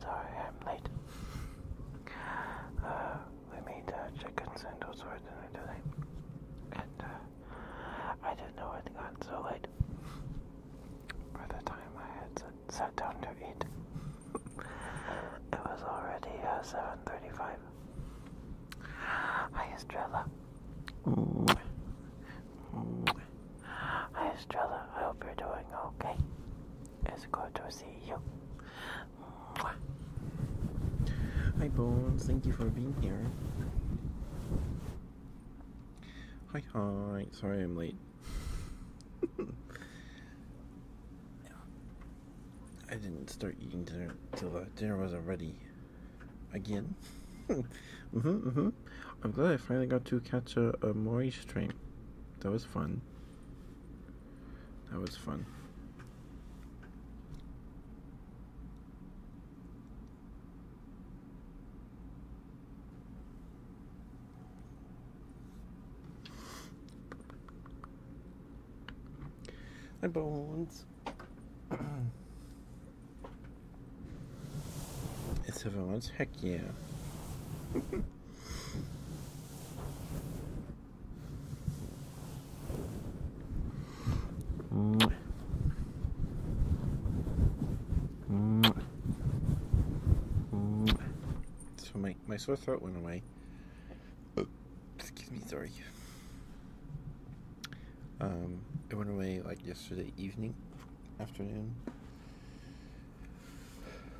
Sorry, I'm late. Uh, we made uh, chicken sandals for dinner today, and uh, I didn't know it got so late. By the time I had sat, down to eat, it was already 7:35. Hi, Estrella. Hi, Estrella. I hope you're doing okay. It's good to see you. Hi, Bones. Thank you for being here. Hi, hi. Sorry I'm late. I didn't start eating dinner till uh, dinner was not ready. Again? mm hmm, mm hmm. I'm glad I finally got to catch a, a Mori stream. That was fun. That was fun. Hi, Bones. it's everyone's heck yeah. Mwah. Mwah. Mwah. So my, my sore throat went away. excuse me, sorry. Um, it went away like yesterday evening, afternoon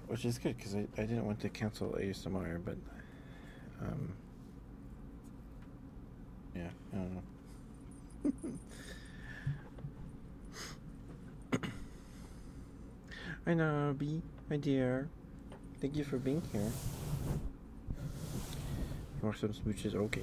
which is good because I, I didn't want to cancel ASMR, but um, yeah, I don't know. I know, B, my dear. Thank you for being here. You want some smooches? Okay.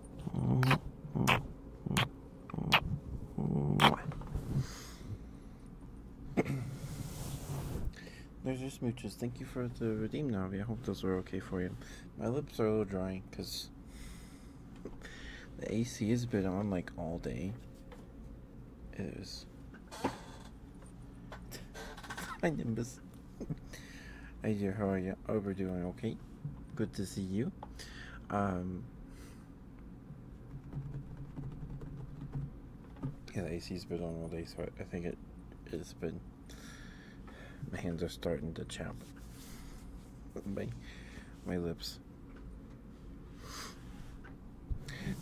There's your smooches. Thank you for the redeem Navi. I hope those were okay for you. My lips are a little dry because the AC has been on like all day. It is. Hi, Nimbus. hey dear, how are you? Overdoing okay? Good to see you. Um, yeah, the AC's been on all day, so I think it has been. My hands are starting to chap. My, my lips.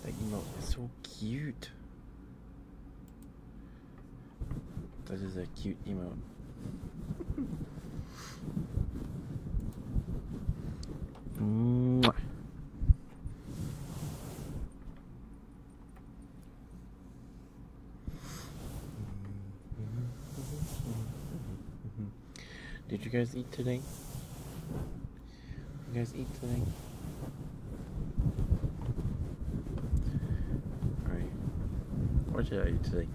That you, is so cute. That is a cute emote. Did you guys eat today? You guys eat today? Alright. What did I eat today?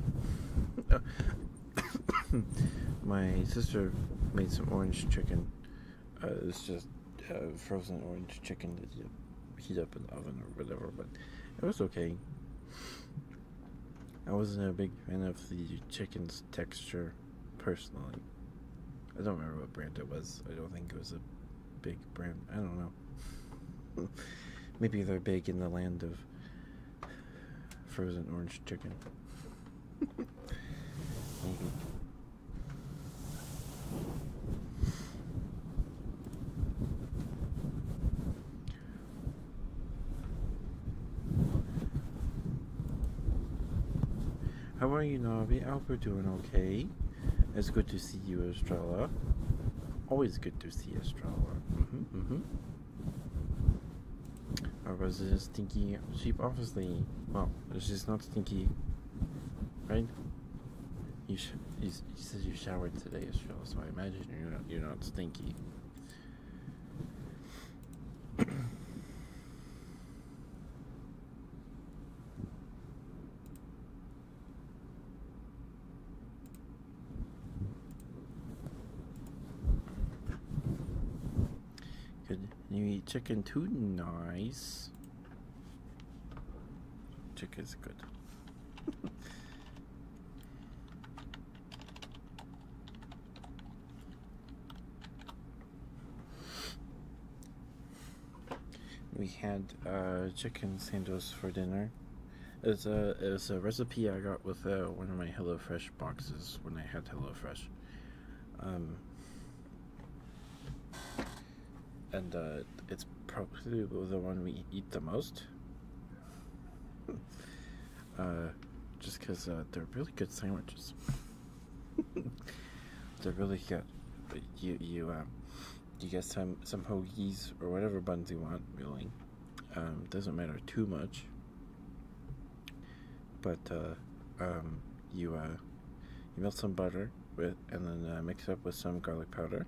My sister made some orange chicken. Uh, it's just uh, frozen orange chicken that you heat up in the oven or whatever, but it was okay. I wasn't a big fan of the chicken's texture, personally. I don't remember what brand it was. I don't think it was a big brand. I don't know. Maybe they're big in the land of frozen orange chicken. Mm-hmm. How are you, Navi? How hope you're doing okay. It's good to see you, Estrella. Always good to see Estrella. Mm-hmm, mm-hmm. Or was it a stinky sheep? Obviously, well, she's not stinky, right? You, said you showered today, Israel, so I imagine you're not stinky. Could you eat chicken too? Nice. Chicken's good. we had uh, chicken sandwich for dinner. It's a it's a recipe I got with uh, one of my HelloFresh boxes when I had HelloFresh, um, and uh, it's probably the one we eat the most. Uh, just because they're really good sandwiches. they're really good. But you you um, you get some some hoagies or whatever buns you want, really. Um, doesn't matter too much, but uh, um, you uh, you melt some butter with, and then uh, mix it up with some garlic powder.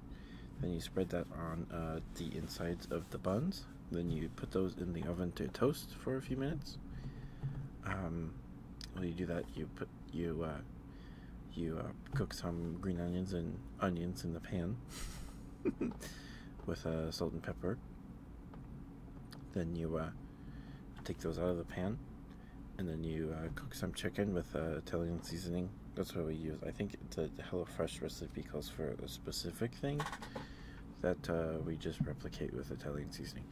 Then you spread that on uh, the insides of the buns. Then you put those in the oven to toast for a few minutes. Um, while you do that, you put you uh, you cook some green onions and onions in the pan. with uh, salt and pepper. Then you uh, take those out of the pan, and then you uh, cook some chicken with uh, Italian seasoning. That's what we use. I think the Hello Fresh recipe calls for a specific thing that we just replicate with Italian seasoning.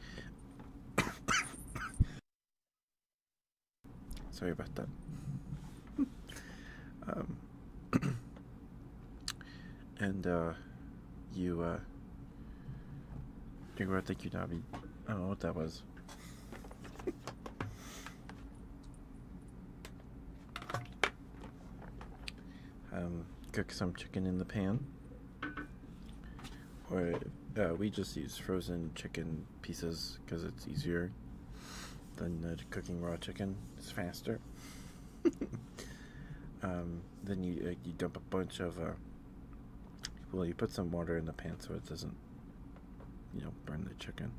Sorry about that. Um, um, and uh, you, uh, Jigoro Tekinabi. I don't know what that was. Um, cook some chicken in the pan. Or uh, we just use frozen chicken pieces because it's easier than uh, cooking raw chicken. It's faster. Um, then you uh, you dump a bunch of uh, well, you put some water in the pan so it doesn't you know burn the chicken,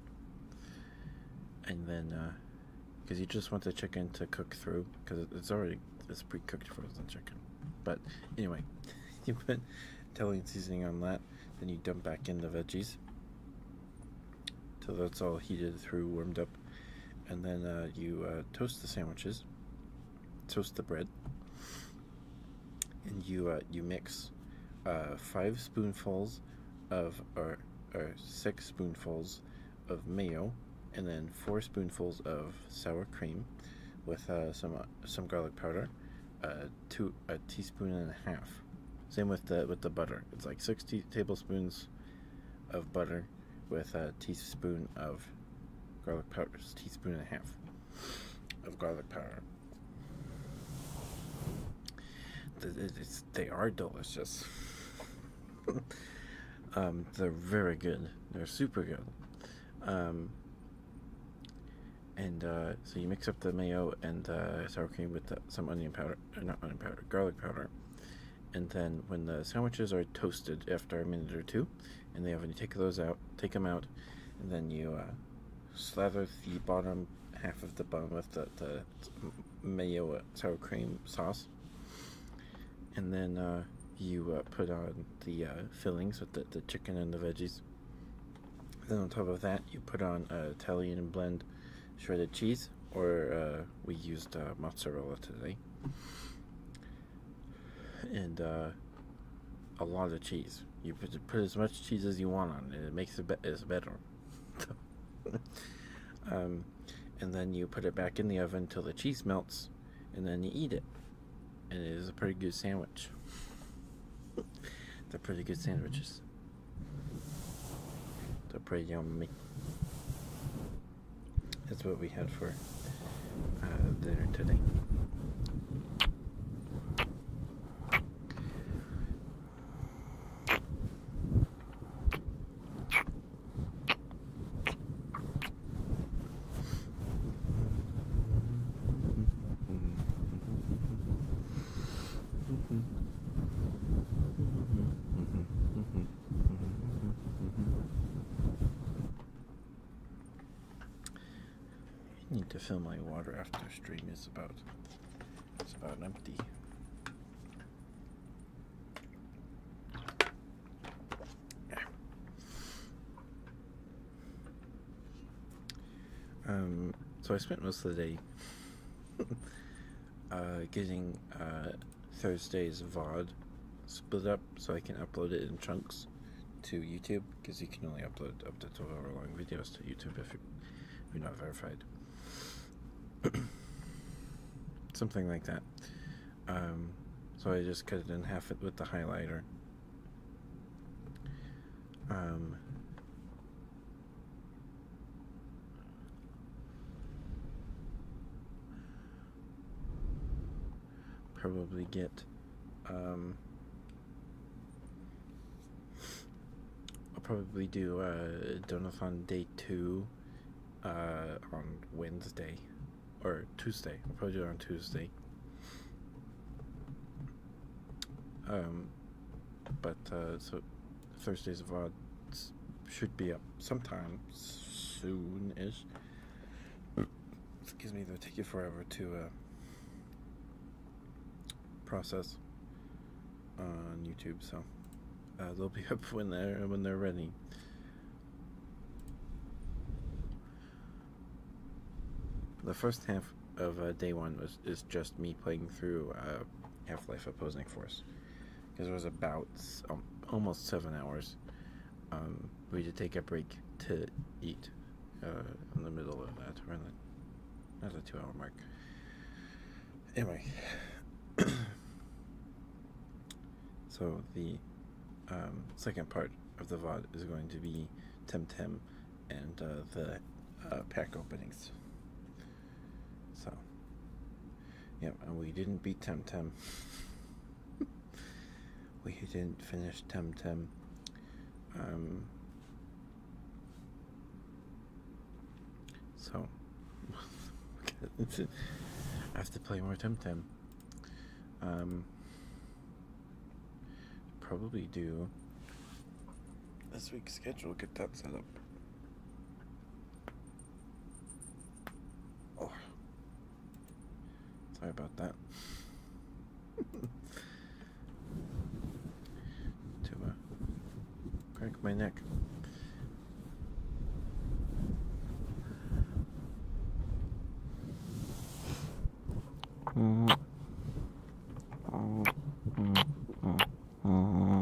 and then because uh, you just want the chicken to cook through because it's already it's pre-cooked frozen chicken, but anyway, you put Italian seasoning on that, then you dump back in the veggies so that's all heated through, warmed up, and then uh, you uh, toast the sandwiches, toast the bread, and you uh, you mix five spoonfuls of or, or six spoonfuls of mayo, and then four spoonfuls of sour cream, with some some garlic powder, two a teaspoon and a half. Same with the with the butter. It's like sixty tablespoons of butter with a teaspoon of garlic powder, a teaspoon and a half of garlic powder. they are delicious. Um, they're very good. They're super good. Um, and uh, so you mix up the mayo and uh, sour cream with some onion powder, not onion powder, garlic powder, and then when the sandwiches are toasted after a minute or two, and they have you take those out, take them out, and then you uh, slather the bottom half of the bun with the, the mayo uh, sour cream sauce, and then uh, you put on the fillings with the, the chicken and the veggies. Then on top of that, you put on a Italian blend shredded cheese, or uh, we used uh, mozzarella today, and uh, a lot of cheese. You put, put as much cheese as you want on it; it makes it be better. um, and then you put it back in the oven until the cheese melts, and then you eat it. And it is a pretty good sandwich. They're pretty good sandwiches. So pretty That's what we had for uh, dinner today. I need to fill my water after stream is about it's about empty. Um so I spent most of the day uh, getting uh, Thursday's VOD split up so I can upload it in chunks to YouTube because you can only upload up to 12 hour long videos to YouTube if you're not verified. Something like that. Um, so I just cut it in half with the highlighter. Um, Probably get um, I'll probably do a uh on day two uh on Wednesday or Tuesday. I'll probably do it on Tuesday. Um but uh, so Thursdays of Odds should be up sometime soon is. Excuse me, they'll take you forever to uh, process on YouTube, so uh, they'll be up when they're when they're ready. The first half of uh, day one was is just me playing through Half Life Opposing Force because it was about um, almost seven hours. Um, we did take a break to eat uh, in the middle of that, around the, around the two hour mark. Anyway, so the um, second part of the VOD is going to be Temtem and uh, the uh, pack openings. So, yep, and we didn't beat Tim Tim. we didn't finish Tim. Um, so, I have to play more Tim. Um, probably do this week's schedule, get that set up. Oh. Sorry about that. to uh, crank my neck. -hmm. Mm -hmm. Mm -hmm.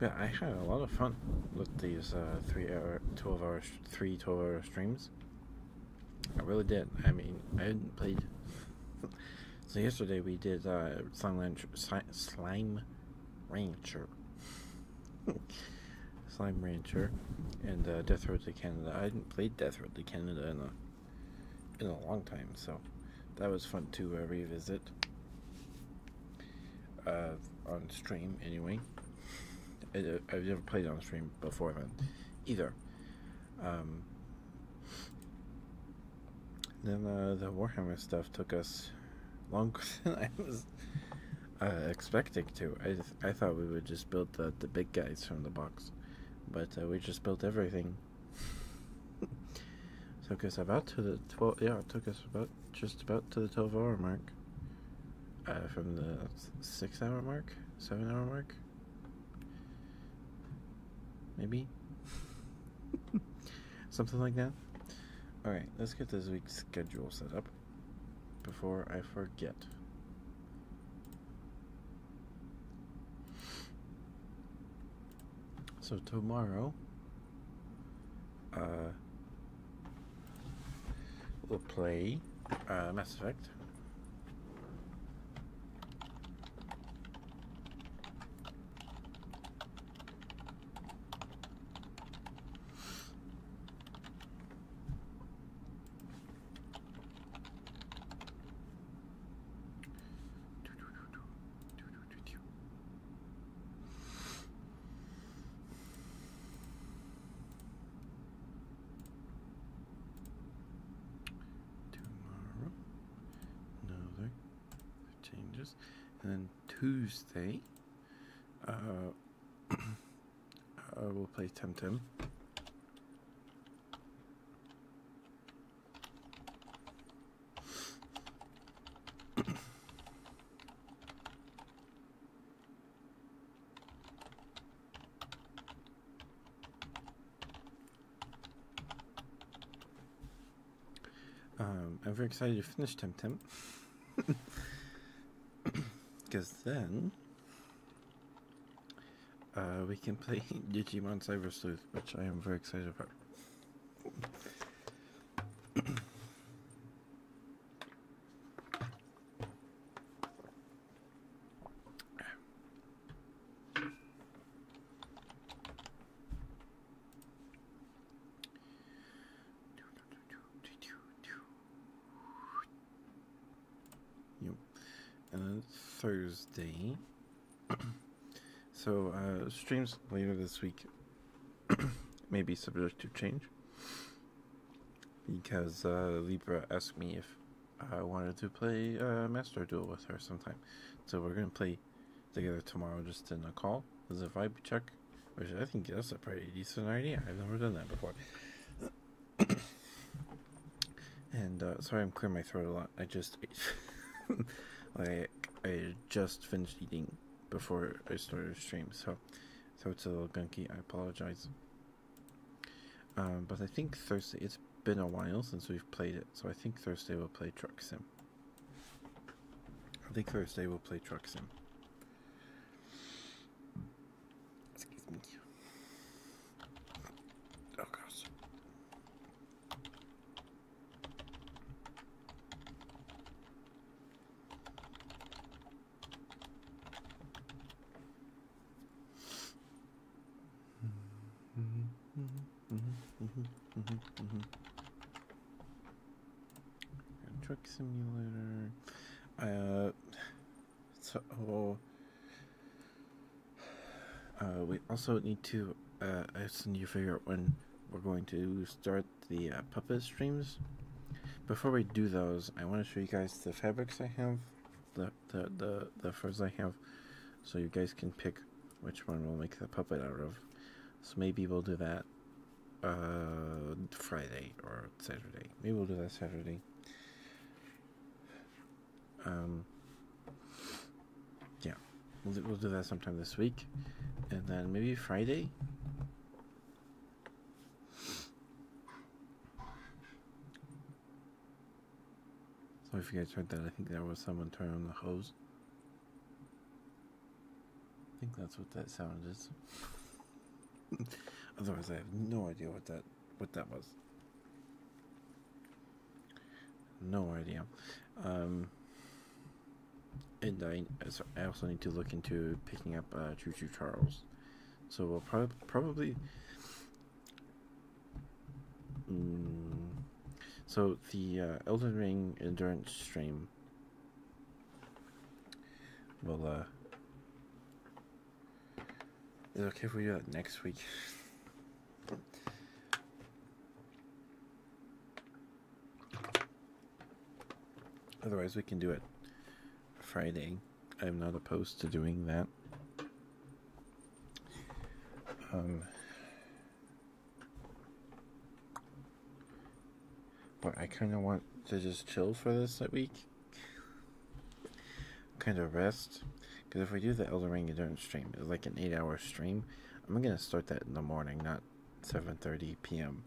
Yeah, I had a lot of fun with these uh, three hour, twelve hour, three twelve hour streams. I really did. I mean, I hadn't played. so yesterday we did uh, Slime Rancher. Slime Rancher. and uh, Death Road to Canada. I hadn't played Death Road to Canada in in a long time, so that was fun to uh, revisit uh, on stream anyway. I, have uh, never played on stream before then either. Um, then uh, the Warhammer stuff took us longer than I was uh, expecting to. I, I thought we would just build the, the big guys from the box, but we just built everything took us about to the twelve. Yeah, it took us about just about to the twelve-hour mark. Uh, from the six-hour mark, seven-hour mark, maybe something like that. All right, let's get this week's schedule set up before I forget. So tomorrow, uh, we'll play uh, Mass Effect. Tomorrow, another changes, and then Tuesday, uh, uh we'll play Temtem. Um, I'm very excited you finished Temtem. Because then uh, we can play Digimon Cyber Sleuth, which I am very excited about and Thursday so uh, streams later this week may be subject to change because uh, Libra asked me if I wanted to play a uh, Master Duel with her sometime. So we're gonna play together tomorrow, just in a call as a vibe check, which I think that's a pretty decent idea. I've never done that before. and sorry, I'm clearing my throat a lot. I just I I just finished eating before I started the stream, so so it's a little gunky. I apologize. Um, but I think Thursday. It's been a while since we've played it, so I think Thursday we'll play Truck Sim. I think Thursday we'll play Truck Sim. Excuse me. Oh gosh. Truck simulator. Uh, so uh, we also need to. Uh, I just need to figure out when we're going to start the uh, puppet streams. Before we do those, I want to show you guys the fabrics I have, the, the, the, the furs I have, so you guys can pick which one we'll make the puppet out of. So maybe we'll do that uh, Friday or Saturday. Maybe we'll do that Saturday. Um, yeah, we'll do, that sometime this week, and then maybe Friday. So if you guys heard that, I think there was someone turning on the hose. I think that's what that sound is. Otherwise, I have no idea what that what that was. No idea. Um, and I, I also need to look into picking up uh, Choo Choo Charles. So we'll probably. Mm, so the uh, Elden Ring endurance stream will. Uh, is it okay if we do that next week? Otherwise, we can do it Friday. I'm not opposed to doing that. Um, but I kind of want to just chill for this week. Kind of rest. Because if we do the Elder Ring Endurance stream, it's like an eight hour stream. I'm going to start that in the morning, not 7:30 p.m.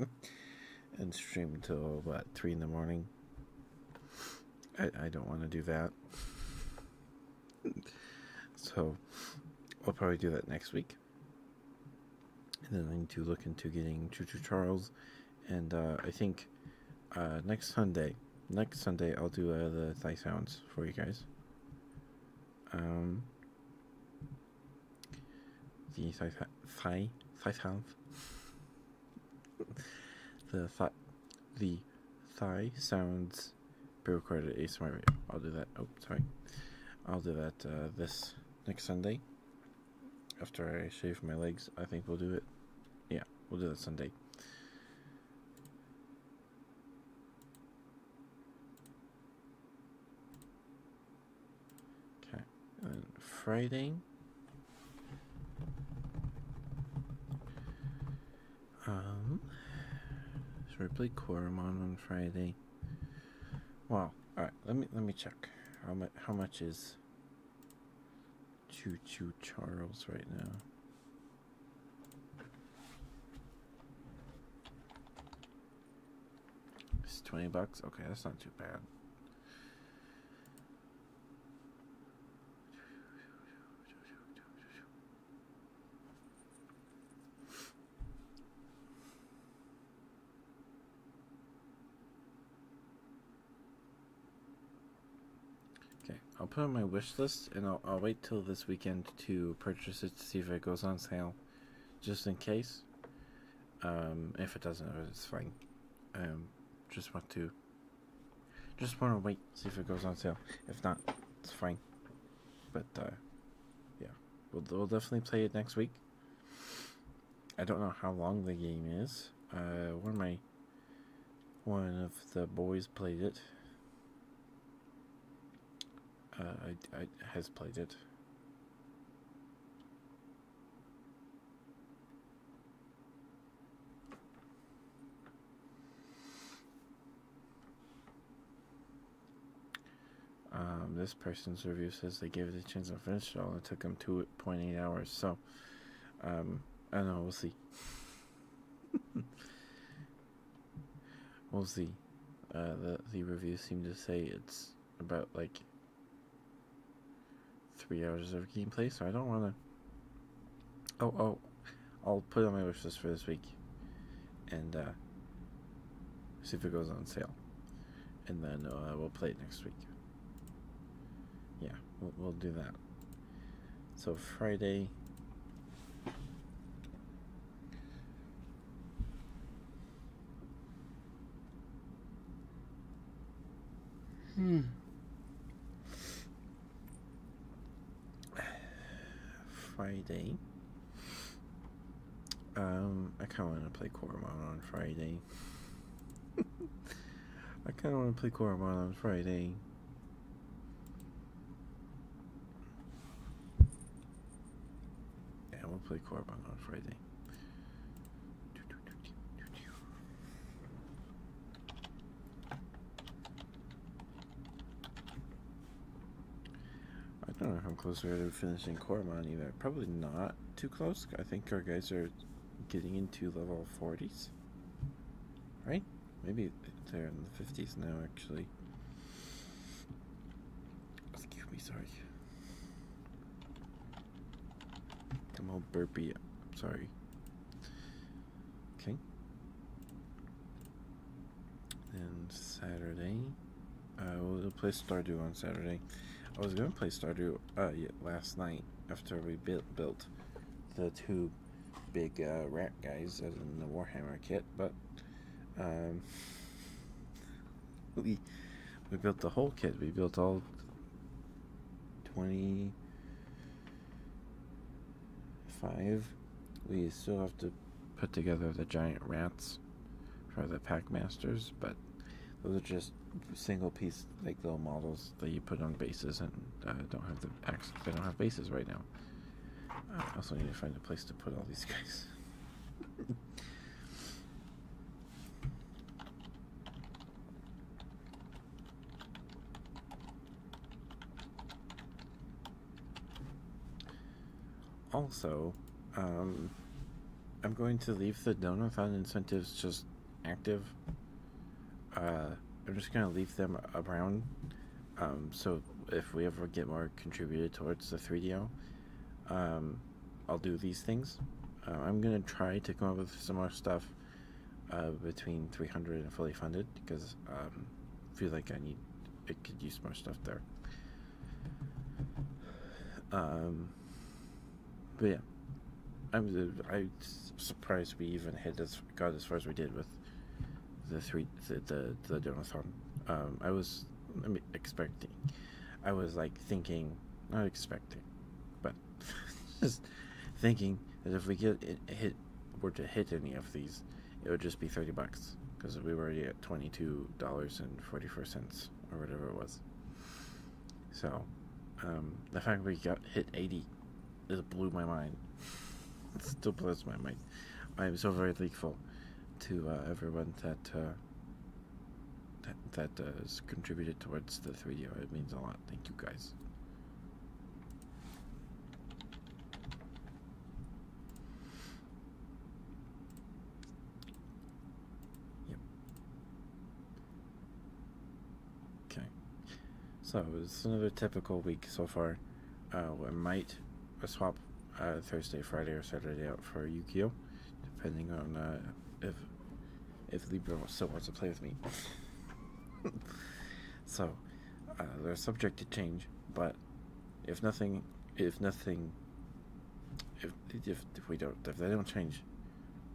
and stream till about three in the morning. I I don't want to do that, so I'll probably do that next week. And then I need to look into getting Choo Choo Charles, and uh, I think uh, next Sunday, next Sunday I'll do uh, the Thai sounds for you guys um, the size, size, size sounds, the thigh, the thigh sounds pre-recorded ASMR. I'll do that. Oh, sorry. I'll do that uh, this next Sunday after I shave my legs. I think we'll do it. Yeah, we'll do that Sunday. Okay, and Friday. Um, should we play Quorum on Friday? Well, all right. Let me let me check how much how much is Choo Choo Charles right now. It's 20 bucks? Okay, that's not too bad. Okay, I'll put it on my wish list and I'll wait till this weekend to purchase it to see if it goes on sale just in case. Um, if it doesn't, uh, it's fine. Um, just want to, just want to wait, see if it goes on sale. If not, it's fine. But uh, yeah, we'll we'll definitely play it next week. I don't know how long the game is. Uh, one of my one of the boys played it. Uh, I, I has played it. Um, this person's review says they gave it a chance and finished it all. It took them 2.8 hours. So, um, I don't know. We'll see. We'll see. Uh, the the reviews seem to say it's about like three hours of gameplay, so I don't want to. Oh oh, I'll put it on my wishlist for this week, and uh, see if it goes on sale, and then uh, we'll play it next week. Yeah, we'll, we'll do that. So Friday. Hmm. Friday. Um, I kind of want to play Coromon on Friday. I kind of want to play Coromon on Friday. And we'll play Corbang on Friday. I don't know how close we are to finishing Cormon either. Probably not too close. I think our guys are getting into level 40s. Right? Maybe they're in the 50s now, actually. Excuse me, sorry. I'm all burpy. I'm sorry. Okay. And Saturday. I uh, will play Stardew on Saturday. I was gonna play Stardew uh, last night after we built built the two big uh, rat guys in the Warhammer kit, but um, we we built the whole kit. We built all twenty five. We still have to put together the giant rats for the pack masters, but those are just single piece like little models that you put on bases and uh, don't have the axes. They don't have bases right now. I also need to find a place to put all these guys also, um, I'm going to leave the donor-fund incentives just active. Uh, I'm just going to leave them around. Um, so if we ever get more contributed towards the 3DO, um, I'll do these things. Uh, I'm gonna try to come up with some more stuff uh, between 300 and fully funded because I um, feel like I need it could use more stuff there. Um, but yeah, I'm I surprised we even had as got as far as we did with the three the the, the donathon. Um, I was expecting. I was like thinking, not expecting, but just thinking that if we get hit, were to hit any of these, it would just be thirty bucks because we were already at twenty two dollars and forty four cents or whatever it was. So, um, the fact we got hit eighty, it blew my mind. It still blows my mind. I am so very thankful to uh, everyone that uh, that that uh, has contributed towards the three D. It means a lot. Thank you guys. Yep. Okay. So it's another typical week so far. Uh, I might I swap uh, Thursday, Friday, or Saturday out for yu depending on uh, if if Libra still wants to play with me. so uh, they're subject to change, but if nothing, if nothing, if if, if we don't, if they don't change,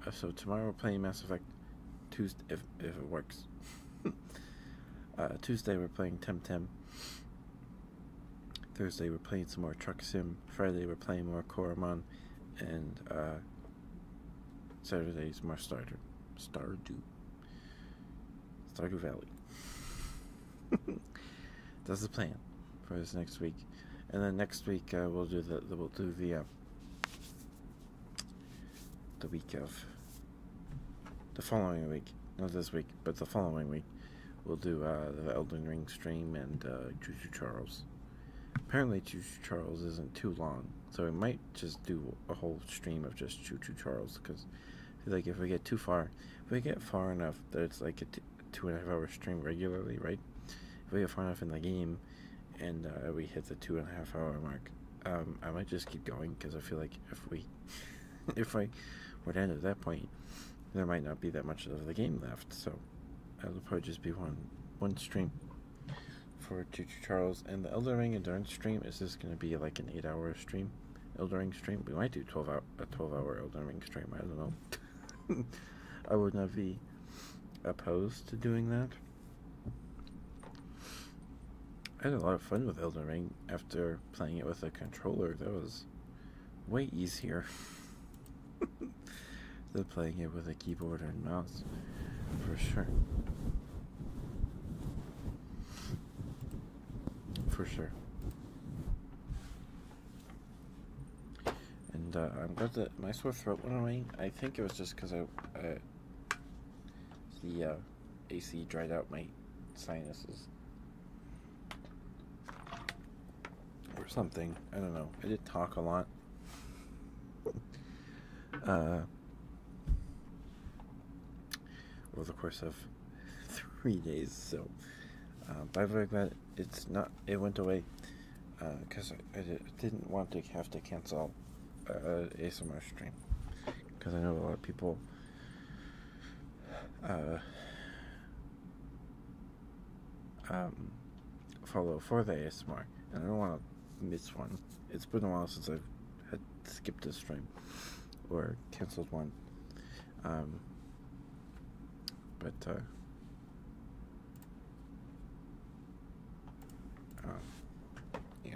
uh, so tomorrow we're playing Mass Effect. Tuesday, if if it works. Uh, Tuesday we're playing Temtem. Thursday we're playing some more Truck Sim. Friday we're playing more Koromon, and uh, Saturday's more Stardew, Stardew, Stardew Valley. That's the plan for this next week, and then next week uh, we'll do the, we'll do the uh, the week of the following week, not this week, but the following week, we'll do uh, the Elden Ring stream and Choo uh, Choo Charles. Apparently, Choo Choo Charles isn't too long, so we might just do a whole stream of just Choo Choo Charles because, like, if we get too far, if we get far enough that it's like a and a half hour stream regularly, right? If we get far enough in the game and uh, we hit the two and a half hour mark, um, I might just keep going because I feel like if we if I were to end at that point, there might not be that much of the game left. So it'll probably just be one one stream for Juju Charles and the Elder Ring Endurance stream. Is this going to be like an eight-hour stream? Elder Ring stream? We might do twelve hour a twelve-hour Elder Ring stream. I don't know. I would not be opposed to doing that. I had a lot of fun with Elden Ring after playing it with a controller. That was way easier than playing it with a keyboard and mouse, for sure. For sure. And uh, I'm glad that my sore throat went away. I think it was just because I, the uh, AC dried out my sinuses or something. I don't know. I did talk a lot. uh, over the course of three days, so. Uh, by the way, it's not. It went away because uh, I, didn't want to have to cancel uh, ASMR stream because I know a lot of people uh, um, follow for the ASMR. And I don't want to miss one. It's been a while since I've skipped a stream or canceled one. Um, but, uh, um, yeah.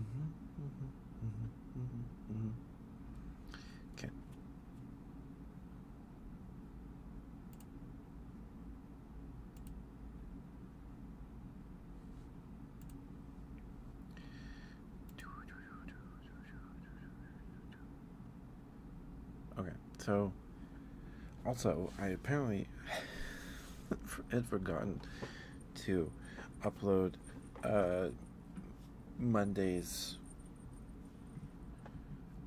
Mm-hmm. Mm-hmm. Mm-hmm. Okay, Okay, so also I apparently had forgotten to upload uh, Monday's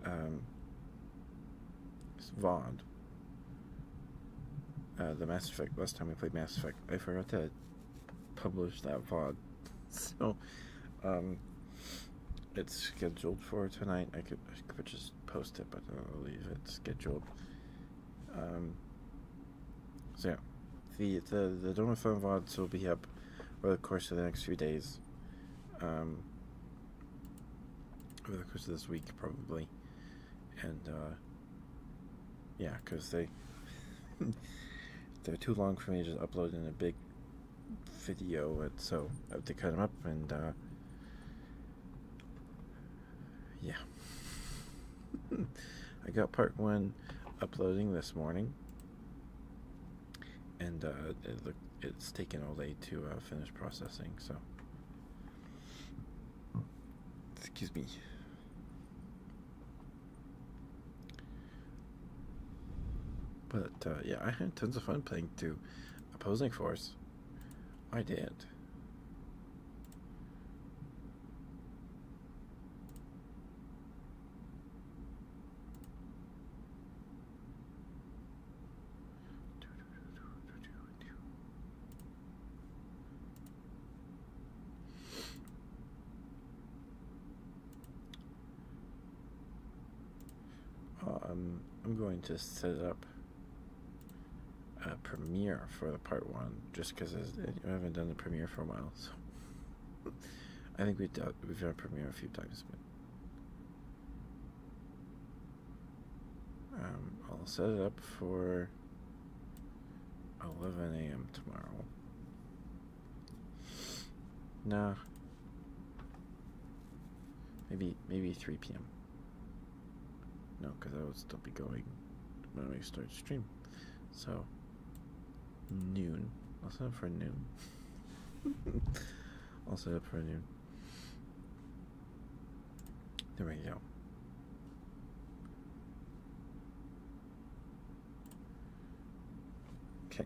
um, VOD. Uh, the Mass Effect, last time we played Mass Effect, I forgot to publish that VOD. So, um, it's scheduled for tonight. I could, could just post it, but I'll leave it scheduled. Um, so yeah, the, the, the Donut Film VODs will be up over the course of the next few days. Um, over the course of this week, probably. And uh, yeah, because they they're too long for me to upload in a big video, so I have to cut them up and uh, yeah. I got part one uploading this morning, and uh, it look, it's taken all day to uh, finish processing. So, excuse me. But uh, yeah, I had tons of fun playing to opposing force. I did. Um, I'm going to set up a premiere for the part one just because I haven't done the premiere for a while. So I think we've done, we've done a premiere a few times. Um, I'll set it up for 11 a.m. tomorrow. Nah. Maybe maybe 3 p.m. No, because I would still be going when we start stream. So noon. Also up for noon. also up for noon. There we go. Okay.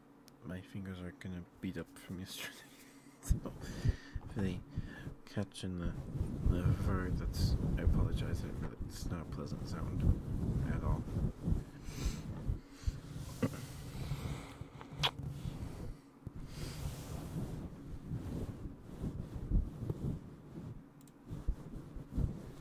my fingers are gonna beat up from yesterday. so if they catch in the, the fur, that's I apologize, but it's not a pleasant sound at all.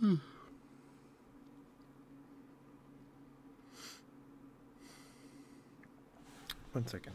Hmm. One second.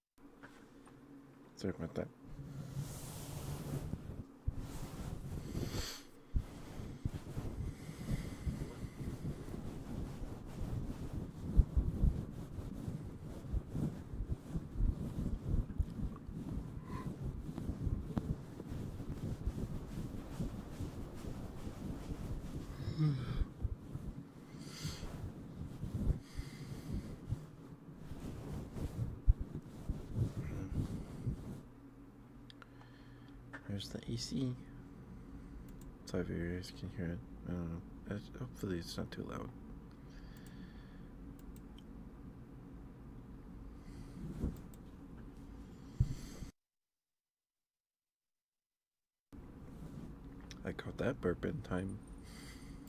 Segmentar. Hmm. There's the AC. Sorry if you guys can hear it. I don't know. hopefully it's not too loud. I caught that burp in time.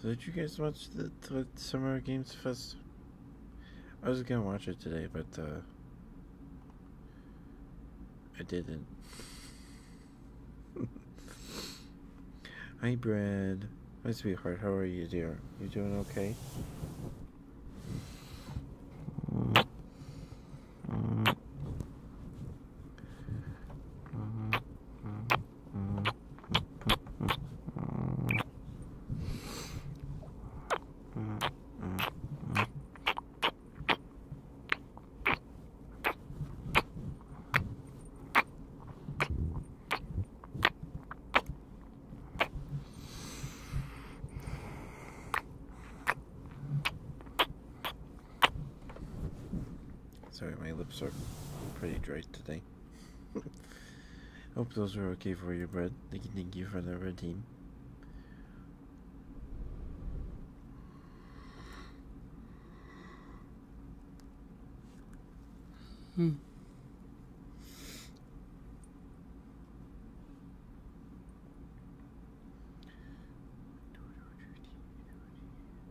So did you guys watch the, Summer Games Fest? I was gonna watch it today, but uh, I didn't. Hi, Brad. Hi, sweetheart. How are you, dear? You doing okay? Mm-hmm. Mm-hmm. Mm-hmm. Sorry, my lips are pretty dry today. Hope those were okay for you, Brad. Thank you, thank you for the red Hmm.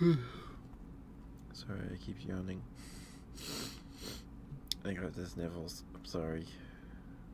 sorry, I keep yawning. I got this Neville's. I'm sorry.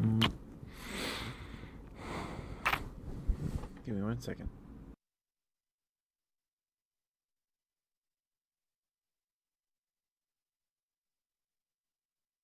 Mm. Give me one second.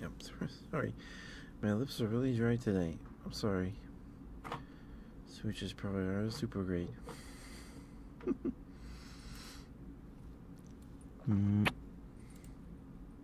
Yep, sorry. My lips are really dry today. I'm sorry. Which is probably our super great. mm.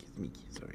Excuse me, sorry.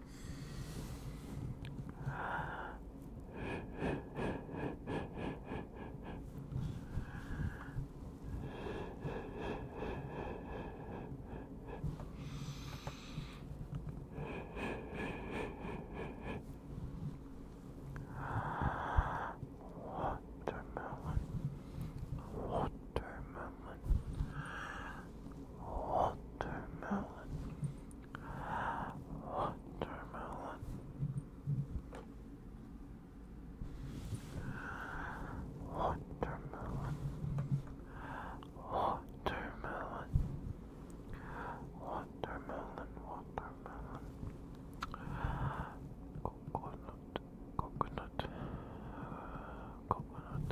Watermelon, watermelon, watermelon, Watermelon. Watermelon. Watermelon. Watermelon. Watermelon. Coconut. Coconut. Coconut.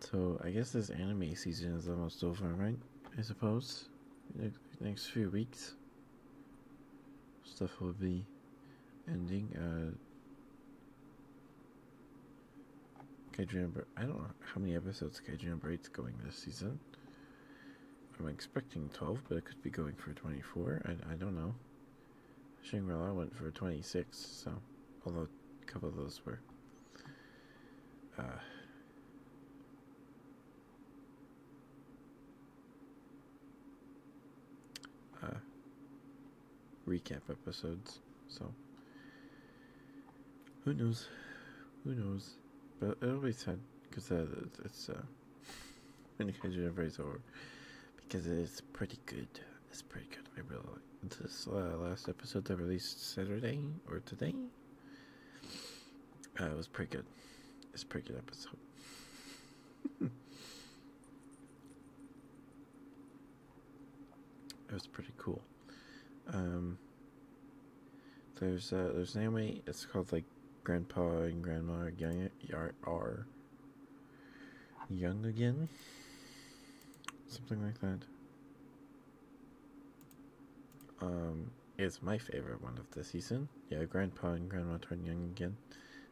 So I guess this anime season is almost over, right? I suppose. Next few weeks, stuff will be ending. Uh, Kaiju Bra I don't know how many episodes Kaiju Braid's going this season. I'm expecting 12, but it could be going for 24. I, I don't know. Shangri-La went for 26, so although a couple of those were uh, uh, recap episodes. So, who knows? Who knows? But it'll be sad because uh, it's uh, when the Kaiju because it's pretty good. It's pretty good. I really this uh, last episode that released Saturday or today. Uh, it was pretty good. It's a pretty good episode. it was pretty cool. Um, there's uh, there's an anime. It's called like Grandpa and Grandma Young are Young Again, something like that um, is my favorite one of the season. Yeah, Grandpa and Grandma Turn Young again.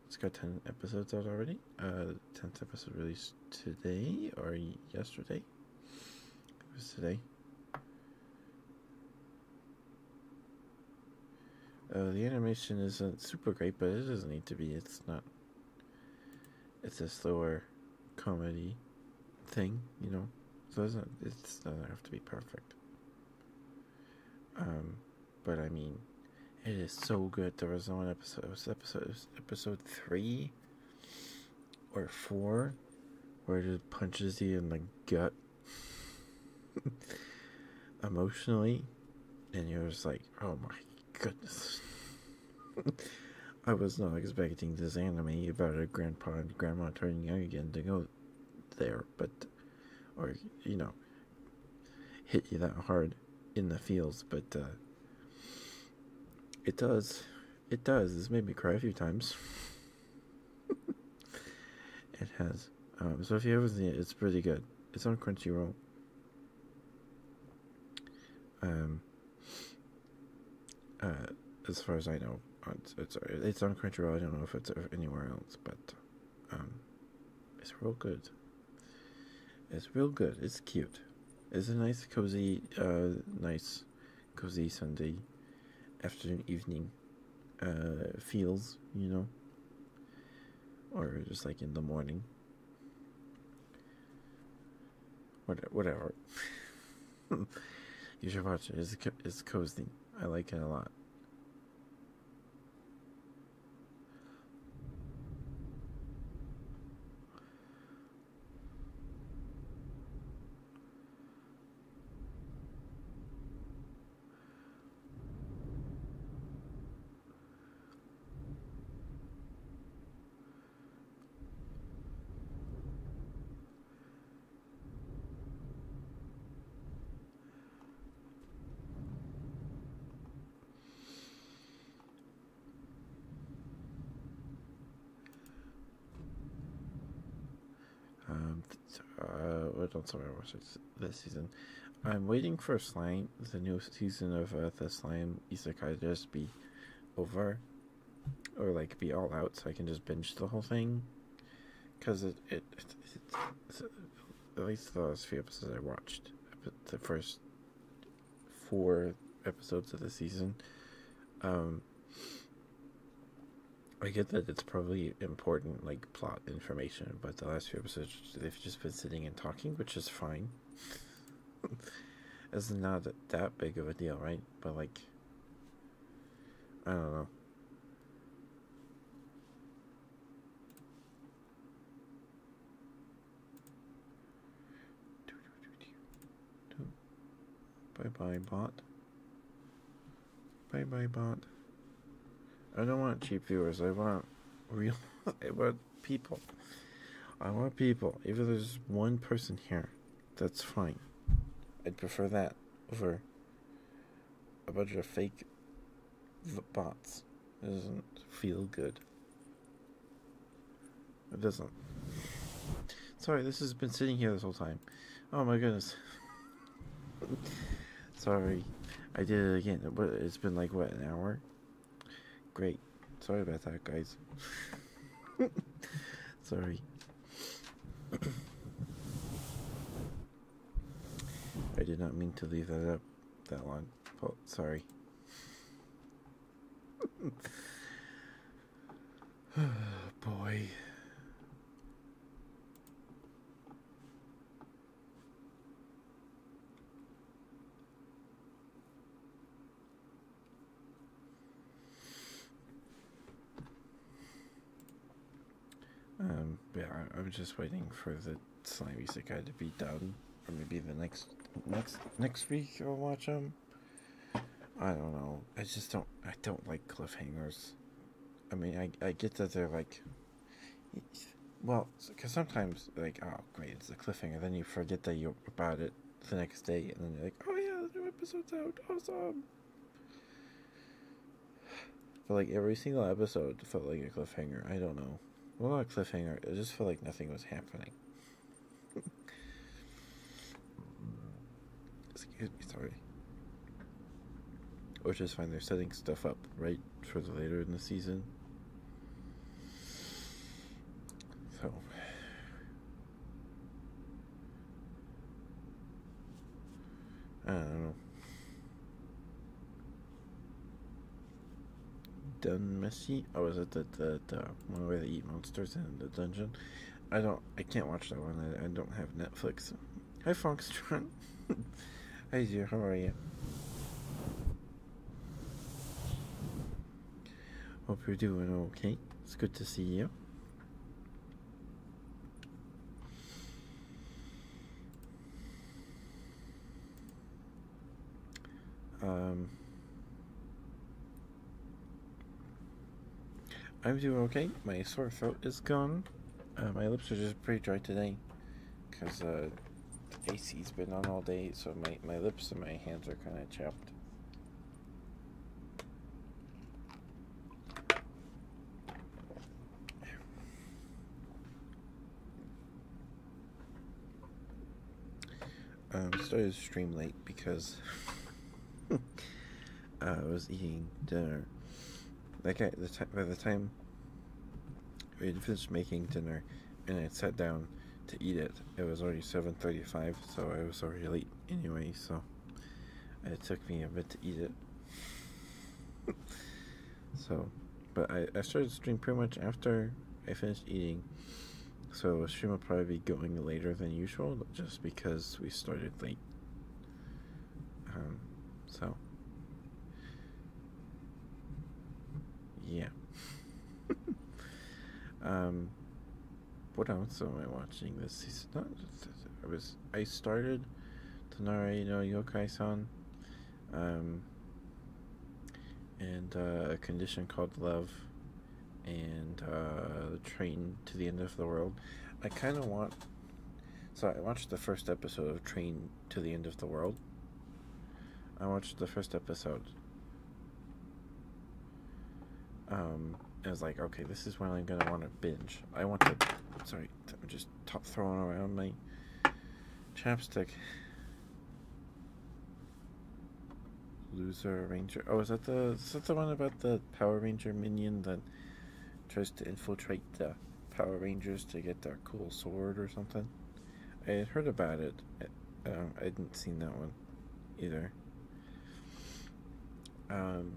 It's got 10 episodes out already. Uh, 10th episode released today or yesterday. It was today. Uh, the animation isn't super great, but it doesn't need to be. It's not it's a slower comedy thing, you know. So it's not, it doesn't have to be perfect. Um, but I mean, it is so good. There was one episode, was episode, episode three or four, where it just punches you in the gut emotionally, and you're just like, oh my goodness. I was not expecting this anime about a grandpa and grandma turning young again to go there, but, or, you know, hit you that hard in the fields. but, uh, it does. It does. This made me cry a few times. it has. Um, so if you haven't seen it, it's pretty good. It's on Crunchyroll. Um, uh, as far as I know, it's it's, it's on Crunchyroll. I don't know if it's anywhere else, but um, it's real good. It's real good. It's cute. It's a nice, cozy, uh, nice, cozy Sunday afternoon, evening uh, feels, you know, or just like in the morning. What, whatever. you should watch it. It's, it's cozy. I like it a lot. Um, uh, don't sorry, I this season. I'm waiting for Slime, the new season of uh, the Slime Isekai, to just be over or like be all out so I can just binge the whole thing. Because it, it, it's, at least the last few episodes I watched, the first four episodes of the season, um, I get that it's probably important, like plot information, but the last few episodes they've just been sitting and talking, which is fine. it's not that big of a deal, right? But like, I don't know. Bye bye bot. Bye bye bot. I don't want cheap viewers. I want real. I want people. I want people. Even if there's one person here, that's fine. I'd prefer that over a bunch of fake bots. doesn't feel good. It doesn't. Sorry, this has been sitting here this whole time. Oh my goodness. Sorry. I did it again. But It's been like, what, an hour? Great. Sorry about that, guys. Sorry. I did not mean to leave that up that long. Oh, sorry. boy. Um, yeah, I, am just waiting for the slimy guy to be done, or maybe the next next next week I'll watch him. I don't know. I just don't. I don't like cliffhangers. I mean, I I get that they're like, well, because sometimes like, oh great, it's a cliffhanger. Then you forget that you about it the next day, and then you're like, oh yeah, the new episode's out, awesome. But like every single episode felt like a cliffhanger. I don't know. Well, not a cliffhanger. It just felt like nothing was happening. Excuse me, sorry. Which is fine. They're setting stuff up right for the later in the season. So, I don't know. Done messy. Oh, I was at that that one where they eat monsters in the dungeon. I don't. I can't watch that one. I, don't have Netflix. Hi, Foxtron. Hi, dear. How are you? Hope you're doing okay. It's good to see you. Um, I'm doing okay. My sore throat is gone. Uh, my lips are just pretty dry today because uh, AC's been on all day, so my, my lips and my hands are kind of chapped. Um, I started to stream late because I was eating dinner. Like at the time, by the time we finished making dinner and I sat down to eat it, it was already 7:35, so I was already late anyway. So it took me a bit to eat it. so, but I, I started streaming pretty much after I finished eating. So, the stream will probably be going later than usual just because we started late. Um, so, yeah. um, what else am I watching this season? I was I started Tanara no Yokai-san, um, and uh, a condition called love, and uh, the train to the end of the world. I kind of want. So I watched the first episode of Train to the End of the World. I watched the first episode. Um, I was like, okay, this is when I'm gonna want to binge. I want to. Sorry, I'm just throwing around my chapstick. Loser Ranger. Oh, is that the is that the one about the Power Ranger minion that tries to infiltrate the Power Rangers to get their cool sword or something? I had heard about it. I, um, I hadn't seen that one either. Um,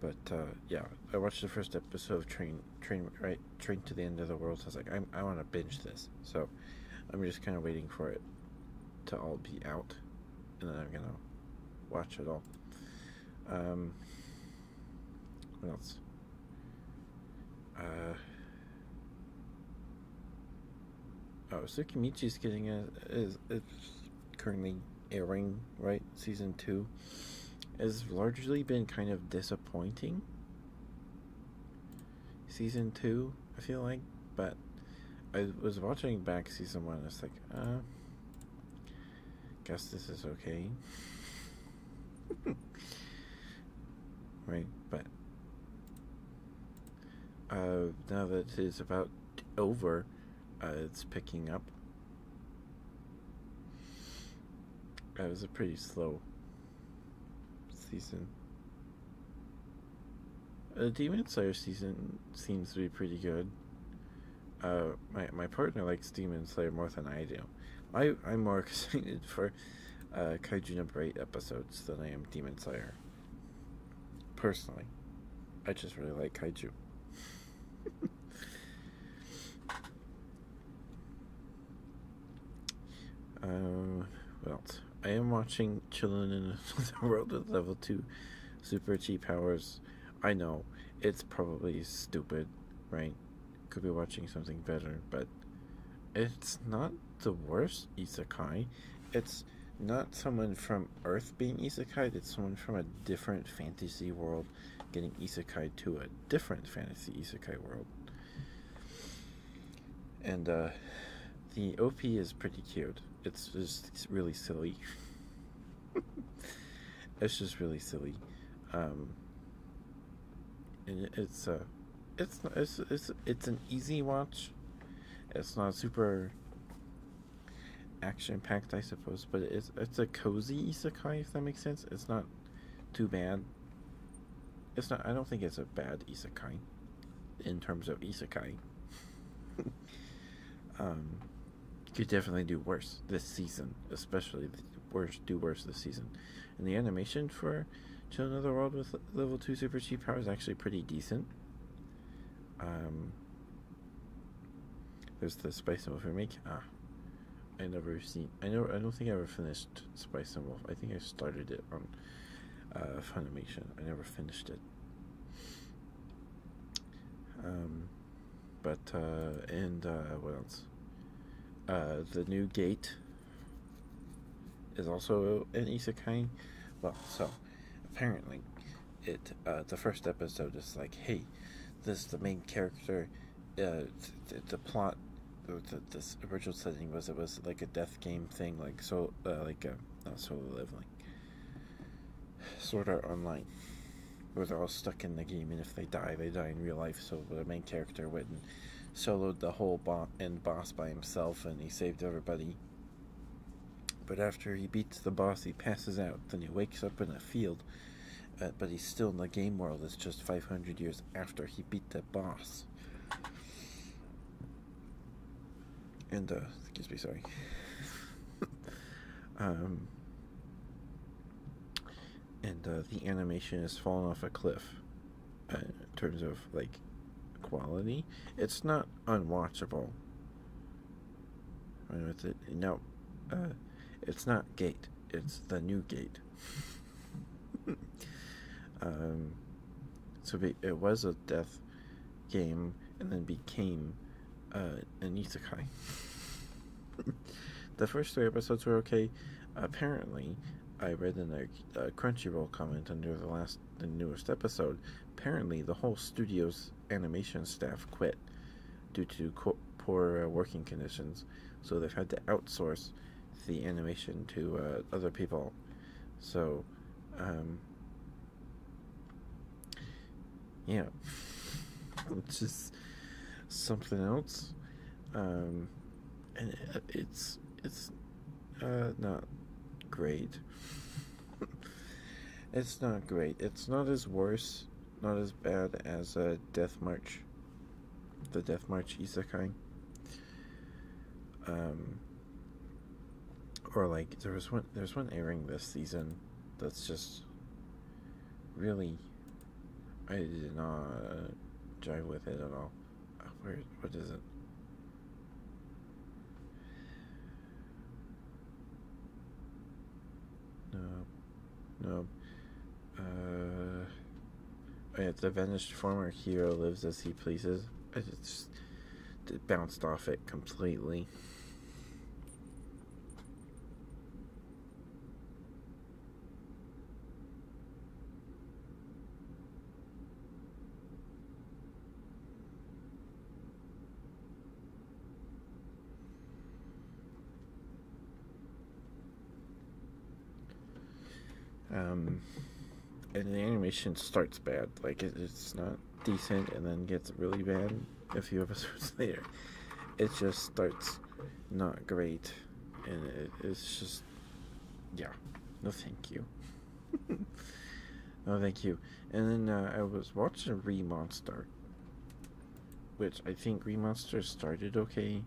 but uh, yeah, I watched the first episode of Train Train right Train to the End of the World. I was like, i I want to binge this, so I'm just kind of waiting for it to all be out, and then I'm gonna watch it all. Um, what else? Uh, Oh, Tsukimichi is getting a is it's currently airing right season two has largely been kind of disappointing. Season two, I feel like, but I was watching back season one. I was like, uh, guess this is okay, right? But uh, now that it's about over, uh, it's picking up. That was a pretty slow season. The uh, Demon Slayer season seems to be pretty good. Uh, my my partner likes Demon Slayer more than I do. I I'm more excited for uh, Kaiju number eight episodes than I am Demon Slayer. Personally, I just really like kaiju. uh, well, I am watching Children in the World with Level 2 Super Cheap Powers. I know, it's probably stupid, right? Could be watching something better, but it's not the worst Isakai. It's not someone from Earth being isekai, it's someone from a different fantasy world getting isekai to a different fantasy isekai world. And uh, the OP is pretty cute. It's just really silly. it's just really silly. Um, and it's uh, it's, it's it's it's an easy watch. It's not super action packed, I suppose, but it's it's a cozy isekai if that makes sense. It's not too bad. It's not. I don't think it's a bad isekai in terms of isekai. um, could definitely do worse this season, especially worse do worse this season. And the animation for Children of the World with level two super cheap power is actually pretty decent. Um, there's the Spice and Wolf remake. Ah, I never seen. I never. I don't think I ever finished Spice and Wolf. I think I started it on uh, Funimation. I never finished it. Um, but uh, and uh, what else? Uh, the new gate is also an isekai. Well, so apparently, it uh, the first episode is like, hey, this the main character. Uh, the, plot, the, this original setting was it was like a death game thing, like so, uh, like a, um, not solo leveling. Sort of Online, where they're all stuck in the game, and if they die, they die in real life. So the main character went and soloed the whole end boss by himself, and he saved everybody. But after he beats the boss, he passes out. Then he wakes up in a field, uh, but he's still in the game world. It's just 500 years after he beat the boss. And, uh, excuse me, sorry. um, and uh, the animation has fallen off a cliff in terms of, like, quality. It's not unwatchable, with it. No, uh, it's not gate. It's the new gate. um, so it was a death game, and then became uh, an isekai. the first three episodes were okay. Apparently, I read in a Crunchyroll comment under the last the newest episode, apparently the whole studio's animation staff quit due to poor uh, working conditions, so they've had to outsource the animation to uh, other people. So, um, yeah, it's just something else, um, and uh, it's it's not great it's not great. It's not as worse, not as bad as a Death March, the Death March Isekai. Um, or like there was one there's one airing this season that's just really I did not jive with it at all. Where what is it? No. Uh, oh the vanished former hero lives as he pleases, it it bounced off it completely. Um, and the animation starts bad, like it's not decent, and then gets really bad a few episodes later. It just starts not great, and it's just, yeah, no thank you. oh, thank you. And then uh, I was watching Remonster, which I think Remonster started okay.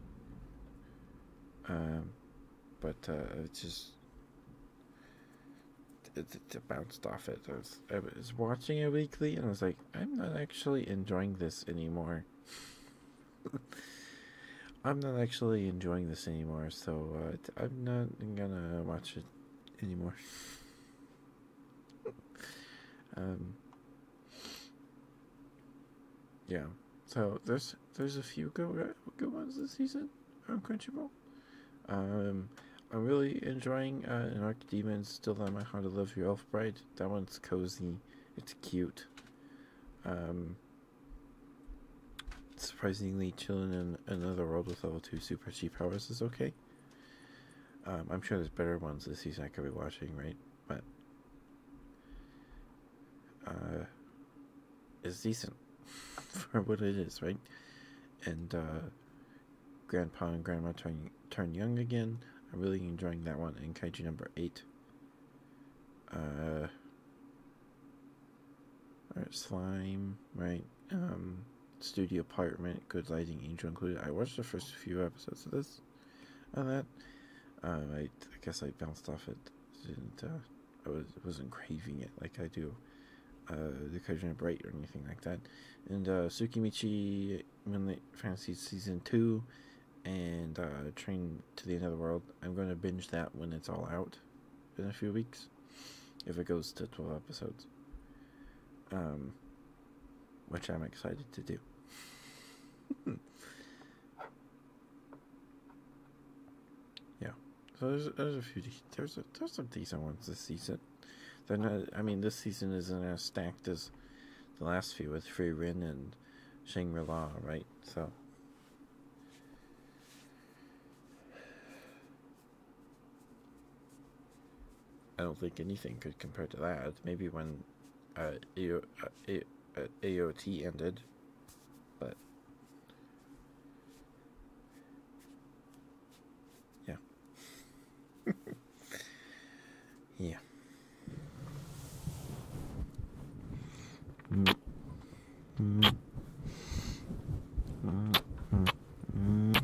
Um, but uh, it just it, bounced off it. I was, I was watching it weekly, and I was like, I'm not actually enjoying this anymore. I'm not actually enjoying this anymore, so uh, I'm not gonna watch it anymore um, yeah. So there's there's a few good good ones this season on Crunchyroll. Um, I'm really enjoying uh, an Arc Demons Still Not My Heart to Love Your Elf Bride. That one's cozy. It's cute. Um, surprisingly, chilling in another world with level two super chi powers is okay. Um, I'm sure there's better ones this season I could be watching, right? But uh, it's decent for what it is, right? And uh, Grandpa and Grandma turn turn young again. I'm really enjoying that one. And Kaiju number eight. Uh, slime, right? Um, studio apartment, good lighting, angel included. I watched the first few episodes of this and that. Um, I, guess I bounced off it. Didn't uh, I was wasn't craving it like I do. Uh, the Kajun Bright or anything like that, and uh, Tsukimichi the Fantasy Season Two, and uh, Train to the End of the World. I'm going to binge that when it's all out in a few weeks. If it goes to 12 episodes. Um, which I'm excited to do. yeah. So there's there's a few there's there's some decent ones this season. They're not. I mean, this season isn't as stacked as the last few with Free Rin and Shangri La, right? So. I don't think anything could compare to that. Maybe when uh, AOT uh, uh, ended, but yeah, yeah. Mm. Mm. Mm.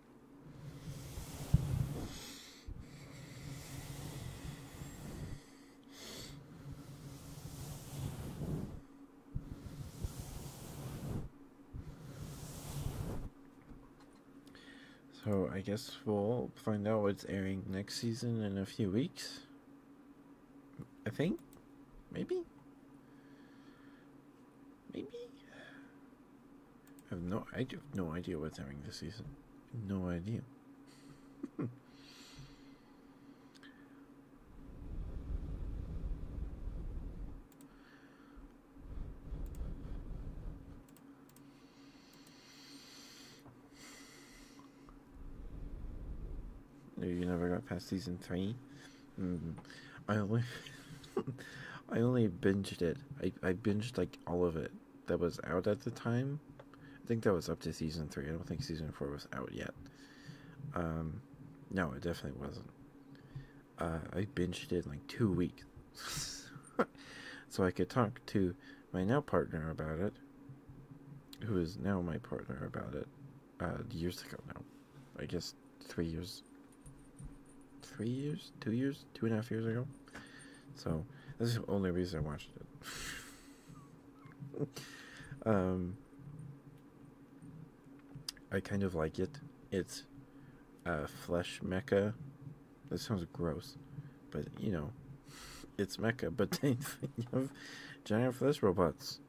So I guess we'll find out what's airing next season in a few weeks. I think. Maybe. Maybe. I have no, I have no idea what's happening this season. No idea. you never got past season three. Mm-hmm. I only, I only binged it. I I binged like all of it that was out at the time. I think that was up to season three. I don't think season four was out yet. Um, no, it definitely wasn't. Uh, I binged it in like two weeks, so I could talk to my now partner about it, who is now my partner about it, uh, years ago now. I guess three years three years, two years, two and a half years ago. So this is the only reason I watched it. um, I kind of like it. It's a flesh mecha. That sounds gross, but you know, it's mecha. But they have of giant flesh robots.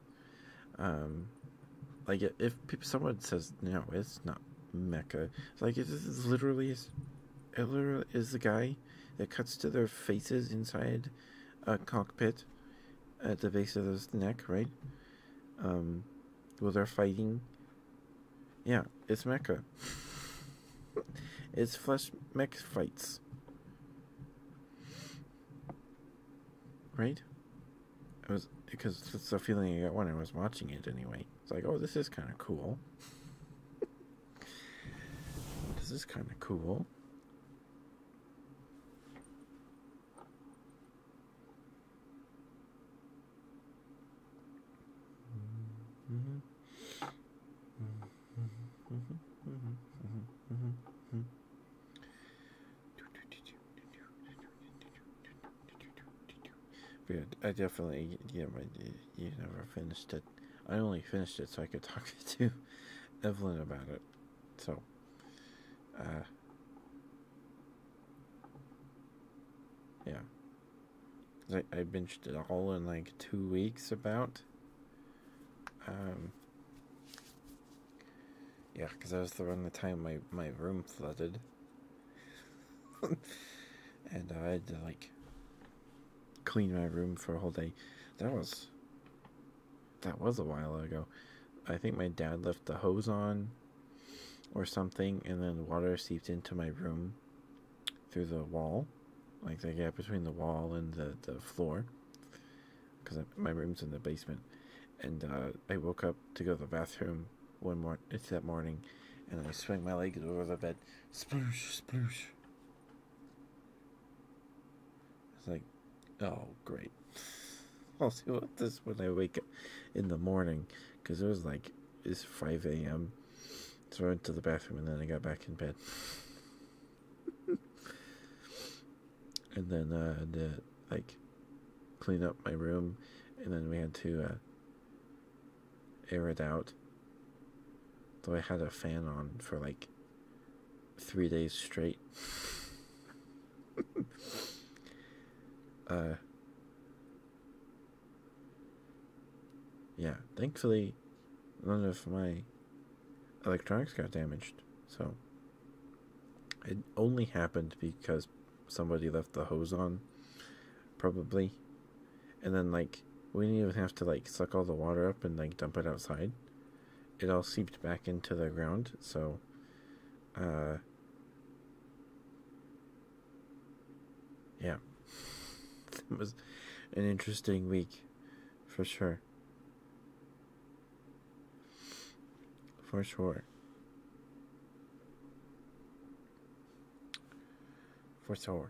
Um, like if someone says no, it's not mecha like it is literally it literally is the guy that cuts to their faces inside a cockpit at the base of his neck, right? Um, where they're fighting. Yeah, it's Mecca. it's flesh mech fights. Right? It was because it's the feeling I got when I was watching it anyway. It's like, oh, this is kind of cool. this is kind of cool. But I definitely, yeah, but you never finished it. I only finished it so I could talk to Evelyn about it. So, uh, yeah. I, I binged it all in like two weeks about. Um, yeah, because I was the around the time my, my room flooded. and I had to like clean my room for a whole day. That was that was a while ago. I think my dad left the hose on or something and then water seeped into my room through the wall. Like the gap between the wall and the, the floor. Because my room's in the basement. And uh, I woke up to go to the bathroom one more it's that morning and I swung my legs over the bed Sploosh, sploosh. It's like, oh, great. I'll see what this when I wake up in the morning because it was like it's 5 a.m. So I went to the bathroom and then I got back in bed. and then uh, I had to like clean up my room and then we had to uh, air it out. Though I had a fan on for like three days straight. uh, yeah, thankfully, none of my electronics got damaged. So, it only happened because somebody left the hose on, probably and then like we didn't even have to like suck all the water up and like dump it outside. It all seeped back into the ground, so uh yeah. it was an interesting week for sure. For sure for sure.